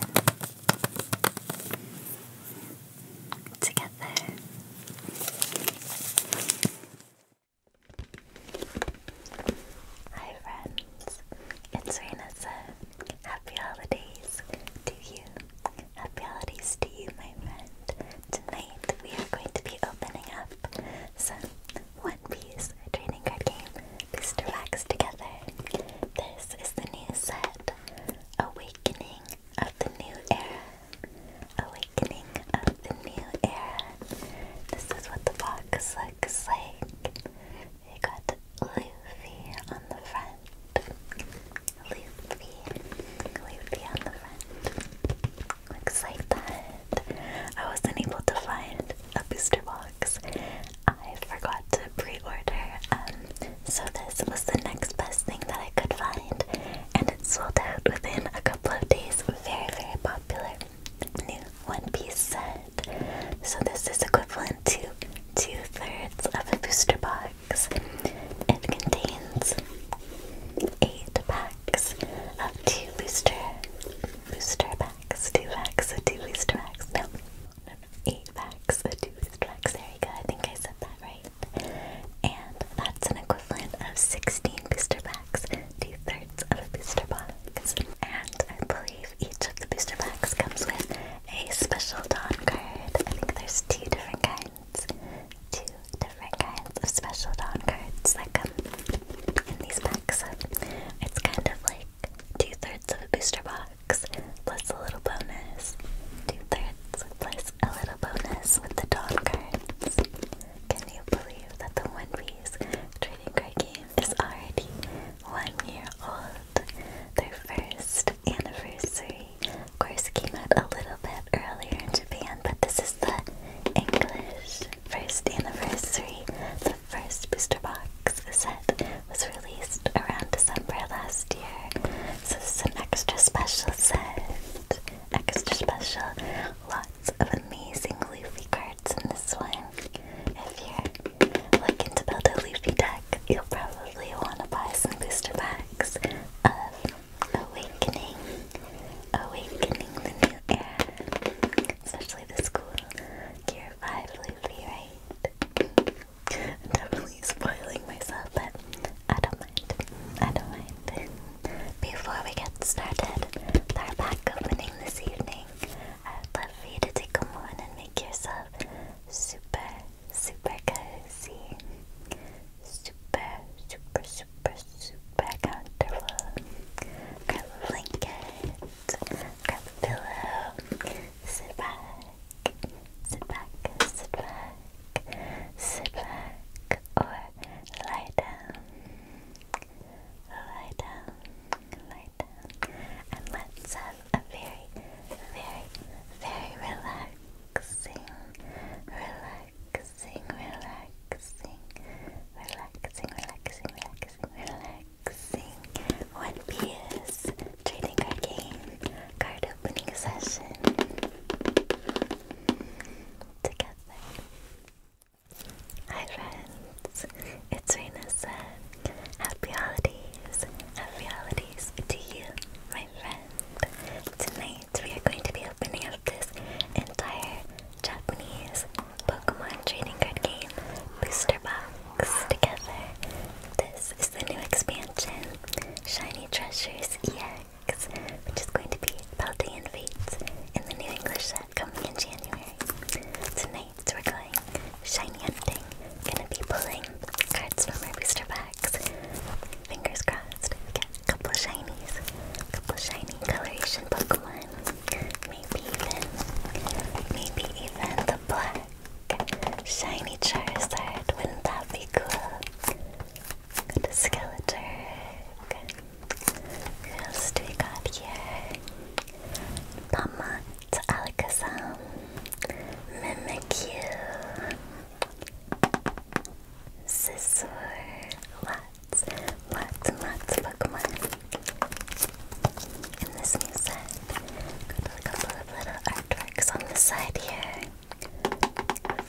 Hi, friends. It's Renessa. Happy holidays to you. Happy holidays to you, my friend tonight we are going to be opening up some One Piece trading card game booster packs together. This is the new set, Awakening of the New Era. Awakening of the New Era. This is what the box looks like. We got Luffy on the front. Luffy. Luffy on the front. Looks like that. I wasn't able to find a booster box. I forgot to pre-order, um, so this was the next best thing that I could find, and it sold out within a couple of days. Very, very popular new One Piece set. So this is equivalent to two-thirds of a booster box. It contains eight packs packs of two booster, booster packs, two packs of two booster packs. No, no, no, eight packs of two booster packs. There you go. I think I said that right. And that's an equivalent of 16 booster packs, two thirds of a booster box. And I believe each of the booster packs comes with a special don card. I think there's two different kinds. Two different kinds of special dawn cards that come in these packs. it's kind of like two thirds of a booster box plus a little bonus. Two thirds plus a little bonus with the dawn cards. Can you believe that the One Piece trading card game is already one year old? Their first anniversary, of course, came out a little bit earlier in but this is the English first anniversary. The first booster box set was released around December last year. So this is an extra special set. Extra special. Lots of amazing Luffy cards in this one. If you're looking to build a Luffy deck, you'll probably want to buy some booster packs of Awakening. Awakening the and especially the school, Gear 5 Luffy, right? definitely spoiling myself, but I don't mind. I don't mind. Before we get started our pack opening this evening, I would love for you to take a moment and make yourself super, super cozy. Super, super, super, super comfortable. Grab a blanket, grab a pillow, sit back, sit back, sit back, sit back, or lie down, lie down, lie down, and let's have a very, very, very relaxing, relaxing relaxing, relaxing, relaxing, relaxing, relaxing, relaxing. One Piece trading card game card opening session together. Hi friends, it's Rainessa. Happy holidays, happy holidays to you, my friend. Tonight we are going to be opening up this entire Japanese Pokemon trading card game booster box together. This is the new expansion, Shiny Treasures EX, which is going to be Paldean Fates in the new English set coming in January. Tonight we're going shiny hunting. Gonna be pulling cards from our booster box. Fingers crossed, we get a couple of shinies, a couple of shiny coloration Pokemon maybe even, maybe even the black shiny Charizard. Wouldn't that be cool? The a Skeletor. Who else do we got here? Palmont, Alakazam, Mimikyu, Scizor, Latias, lots, and lots of Pokemon in this new set. Got a couple of little artworks on the side here.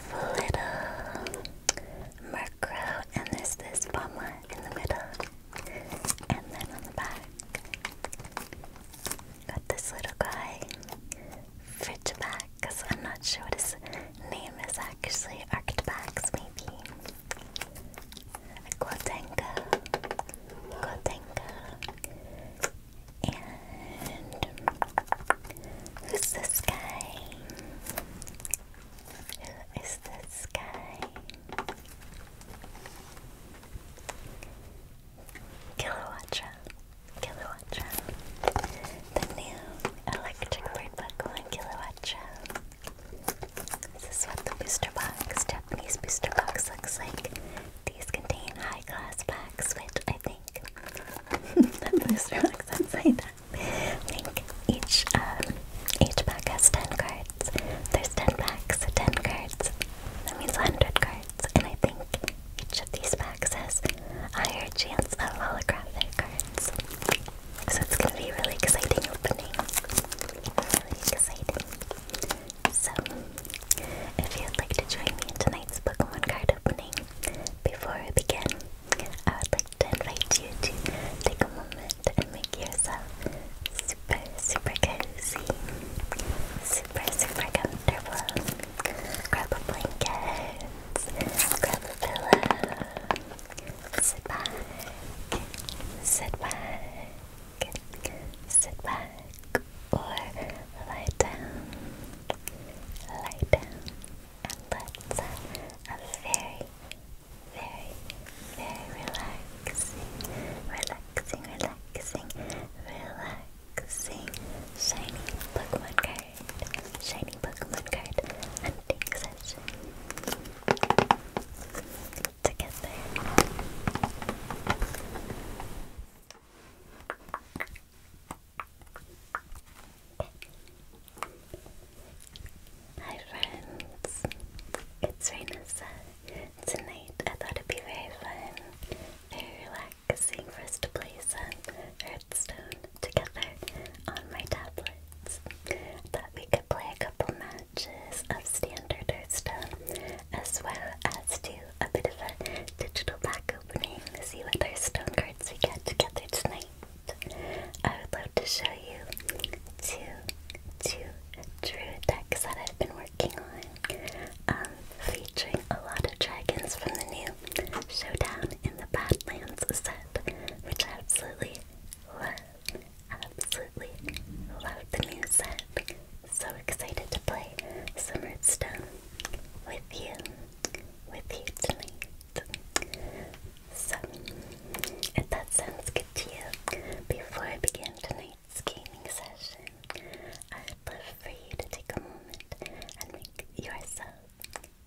Flittle, Murkrow, and there's this Bomber in the middle. And then on the back, got this little guy, Fridgeback, I'm not sure what his name is actually actually Arctabax maybe. A Glotenga. And who's this guy? Who is this guy? Kilowatra. Kilowatra. The new electric bird buckle in Kilowatra. This is what the booster box, Japanese booster box, looks like. These contain high class packs, which I think that booster box outside that. I think each um, each pack has ten cards. There's ten packs, ten cards. That means hundred cards, and I think each of these packs has a higher chance of holographic cards. So it's gonna be really exciting opening. Really exciting. So, if you'd like to join me in tonight's Pokemon card opening, before I begin, I would like to invite you to take a moment and make yourself super, super cozy, super, super comfortable. Grab a blanket, grab a pillow, sit back, sit back, sit back, or lie down, lie down, and let's have a very, very, very relaxing, relaxing, relaxing, relaxing, shiny Pokemon card, shiny Pokemon card hunting session to get there. Hi friends, it's Rainessa. Tonight I thought it'd be very fun, very relaxing for us to play some Hearthstone together on my tablets. Thought we could play a couple matches swatches of standard Hearthstone, as well as do a bit of a digital pack opening to see what Hearthstone cards we get together tonight. I would love to show you two, two Druid decks that I've been working on, um, featuring a lot of dragons from the new Showdown in the Badlands set, which absolutely love. Absolutely love the new set. So excited to play some Redstone with you, with you tonight. So, if that sounds good to you, before I begin tonight's gaming session, I'd love for you to take a moment and make yourself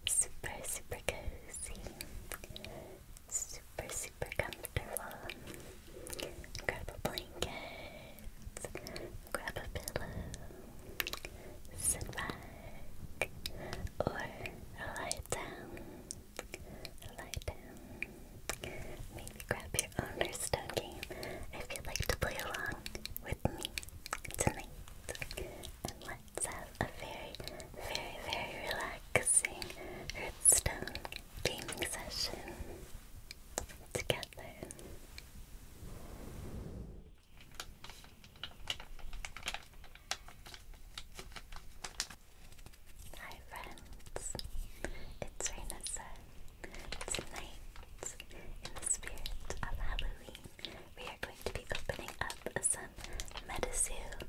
super, super cozy super, super comfortable. Grab a blanket, grab a pillow, sit back, or lie down. Lie down. Maybe grab your own stone game if you like to play along with me tonight. And let's have a very, very, very relaxing, Hearthstone gaming session together. Hi friends, it's Rainessa. Tonight, in the spirit of Halloween, we are going to be opening up some Medisu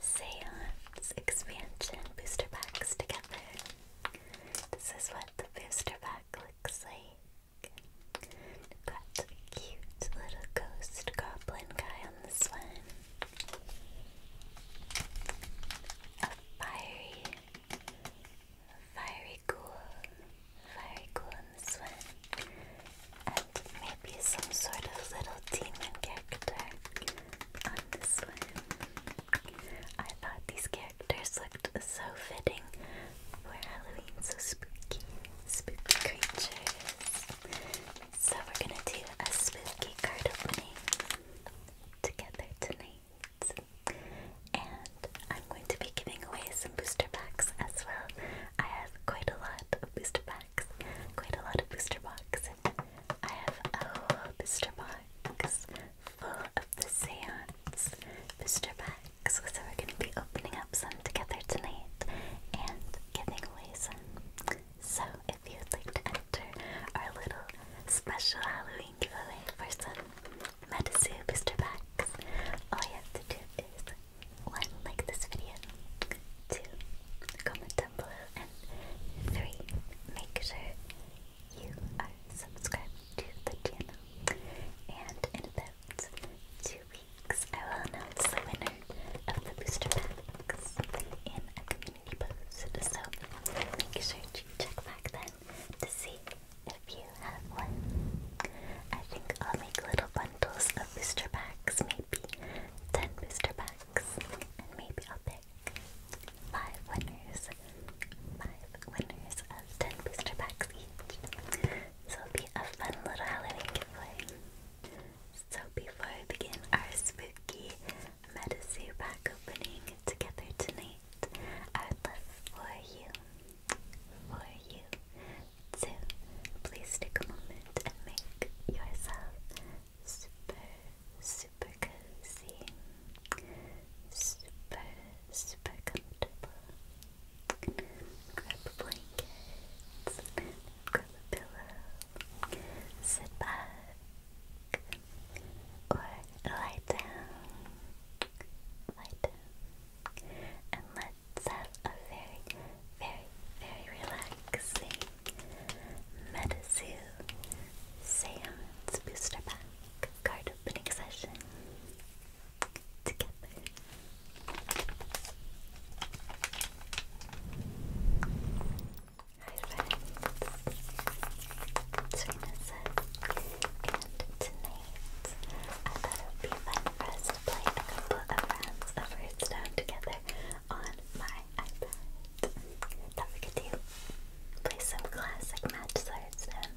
Seance expansion booster packs together. This is what the booster pack looks like. we cute little ghost goblin guy on this one. A fiery, fiery ghoul, fiery ghoul on this one be some sort of little demon character on this one. I thought these characters looked so fitting for Halloween, so spooky, spooky creatures. So we're gonna do a spooky card opening together tonight. And I'm going to be giving away some booster packs as well. I have quite a lot of booster packs, quite a lot of booster boxes. I have a whole booster box full of the seance booster packs, so we're going to be opening up some together tonight and giving away some. So if you'd like to enter our little special Halloween giveaway for some Medisu booster packs, all you have to do is one, like this video, two, comment down below, and three, make sure you are subscribed to the channel. And in about two weeks, I will announce the winner of the booster packs in a community post. So make sure you check back then to see if you have one. I think I'll make little bundles of booster packs, maybe 10 booster packs box, and maybe I'll pick five winners, five winners of ten booster packs each. So will be a fun little Halloween giveaway. So before we begin our spooky medicine pack opening together tonight, I'd love for you, for you, to please take a moment and make yourself super, super cozy, super, super comfortable. Grab a blanket, grab a pillow, sit back, or lie down, lie down, and let's have a very, very, very relaxing Galaxy, Metazoo, Seance Booster Pack, Card Opening Session, together. Hi friends, Serena says, and tonight I thought it would be fun for us to play a couple of rounds of Hearthstone together on my iPad. That we could do. Play some classic match swords and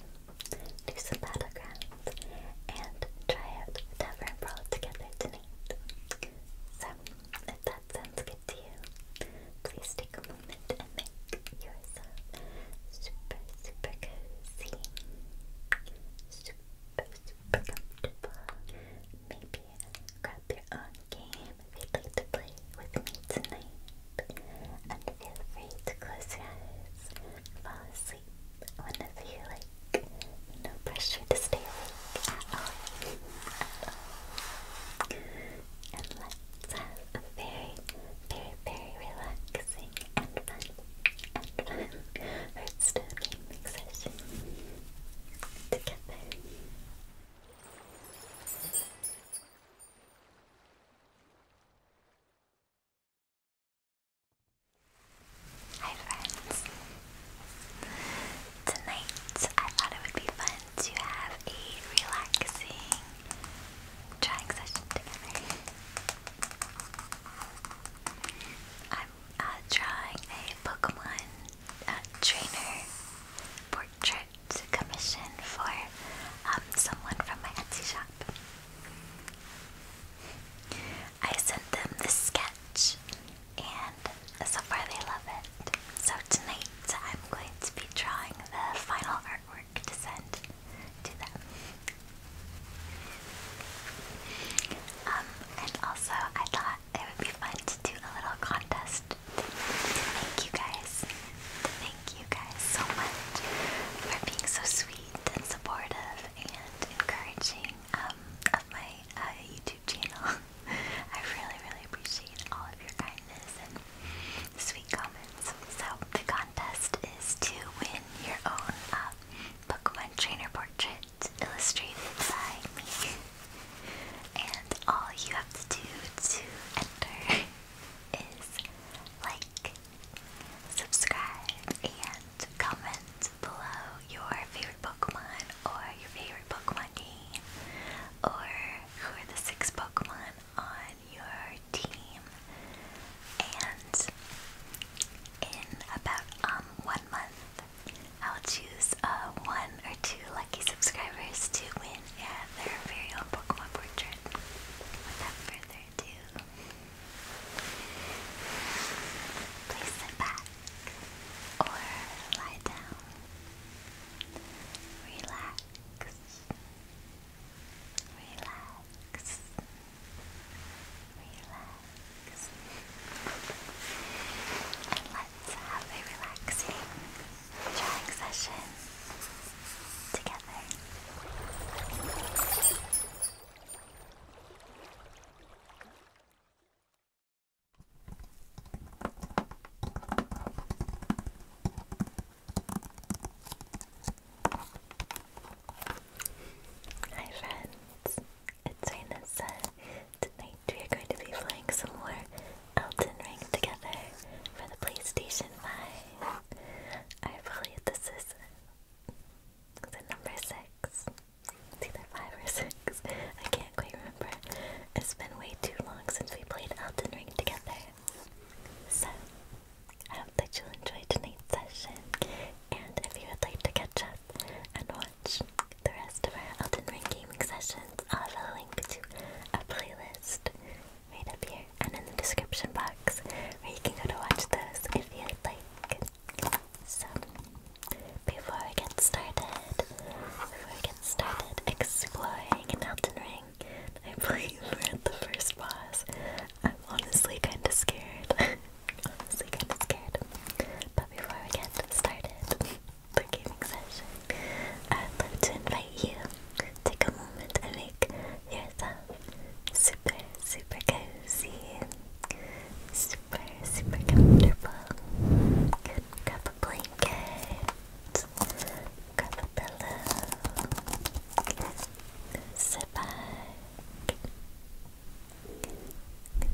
do some battlegrounds and try out Tavern Brawl together tonight. So, if that sounds good to you, please take a moment and make yourself super, super cozy, super, super comfortable. Maybe grab your, grab own game if you'd like to play with me tonight. And feel free to close your eyes, fall asleep whenever you like. No pressure to stay awake at all. And let's have a very, very, very relaxing and fun and fun Hearthstone gaming session together. Hi friends! Tonight I thought it would be fun to have a relaxing drawing session together. I'm uh, drawing a Pokemon uh, trainer portrait art commission for um, someone from my Etsy shop. I sent them this sketch and so far they love it. So tonight I'm going to be drawing the final artwork to send to them. Um, and also I thought it would be fun to do a little contest thank you guys. thank you guys so much for being so sweet and supportive and encouraging um, of my uh, YouTube channel. I really, really appreciate all of your kindness and sweet comments. So the contest is to win your own uh, Pokemon Trainer Portrait illustrated by me. And all you have to do to enter is like, subscribe, and comment below your favorite Pokemon or your favorite Pokemon game or who are the six Pokemon on your team. And in about um one month, I'll choose uh, one or two like lucky subscribers to win yeah, their very own Pokemon portrait. Without further ado, please sit back or lie down. Relax. Relax. Relax. And let's have a relaxing drawing session together. Hi friends, it's Raina Sun. Tonight we are going to be playing some more Elden Ring together for the PlayStation 5. I believe this is the number 6. It's either 5 or 6. I can't quite remember. It's been way too long since we played Elden Ring together. So, I hope that you'll enjoy tonight's session. And if you would like to catch up and watch the rest of our Elden Ring gaming sessions, although link to a playlist right up here and in the description box where you can go to watch those if you'd like. So, before we get started, before we get started exploring an Elden Ring, I we're the first boss. I'm honestly kind of scared. honestly kind of scared. But before we get started, for gaming session, I'd like to invite you to take a moment and make yourself super, super cozy, super, super comfortable. Grab a blanket, grab a pillow, sit back,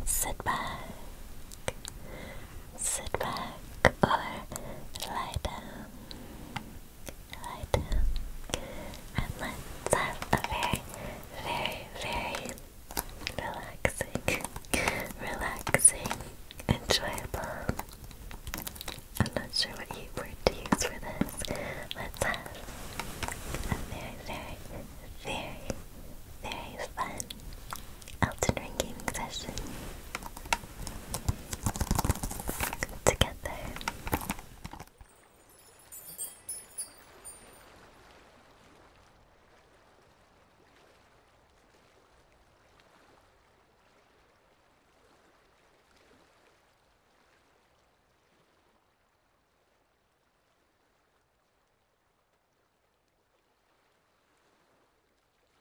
sit back sit back or lie down, lie down, and let's have a very, very, very relaxing, relaxing, enjoyable. I'm not sure what word to use for this. Let's have a very, very, very, very fun, Elden Ring gaming session together.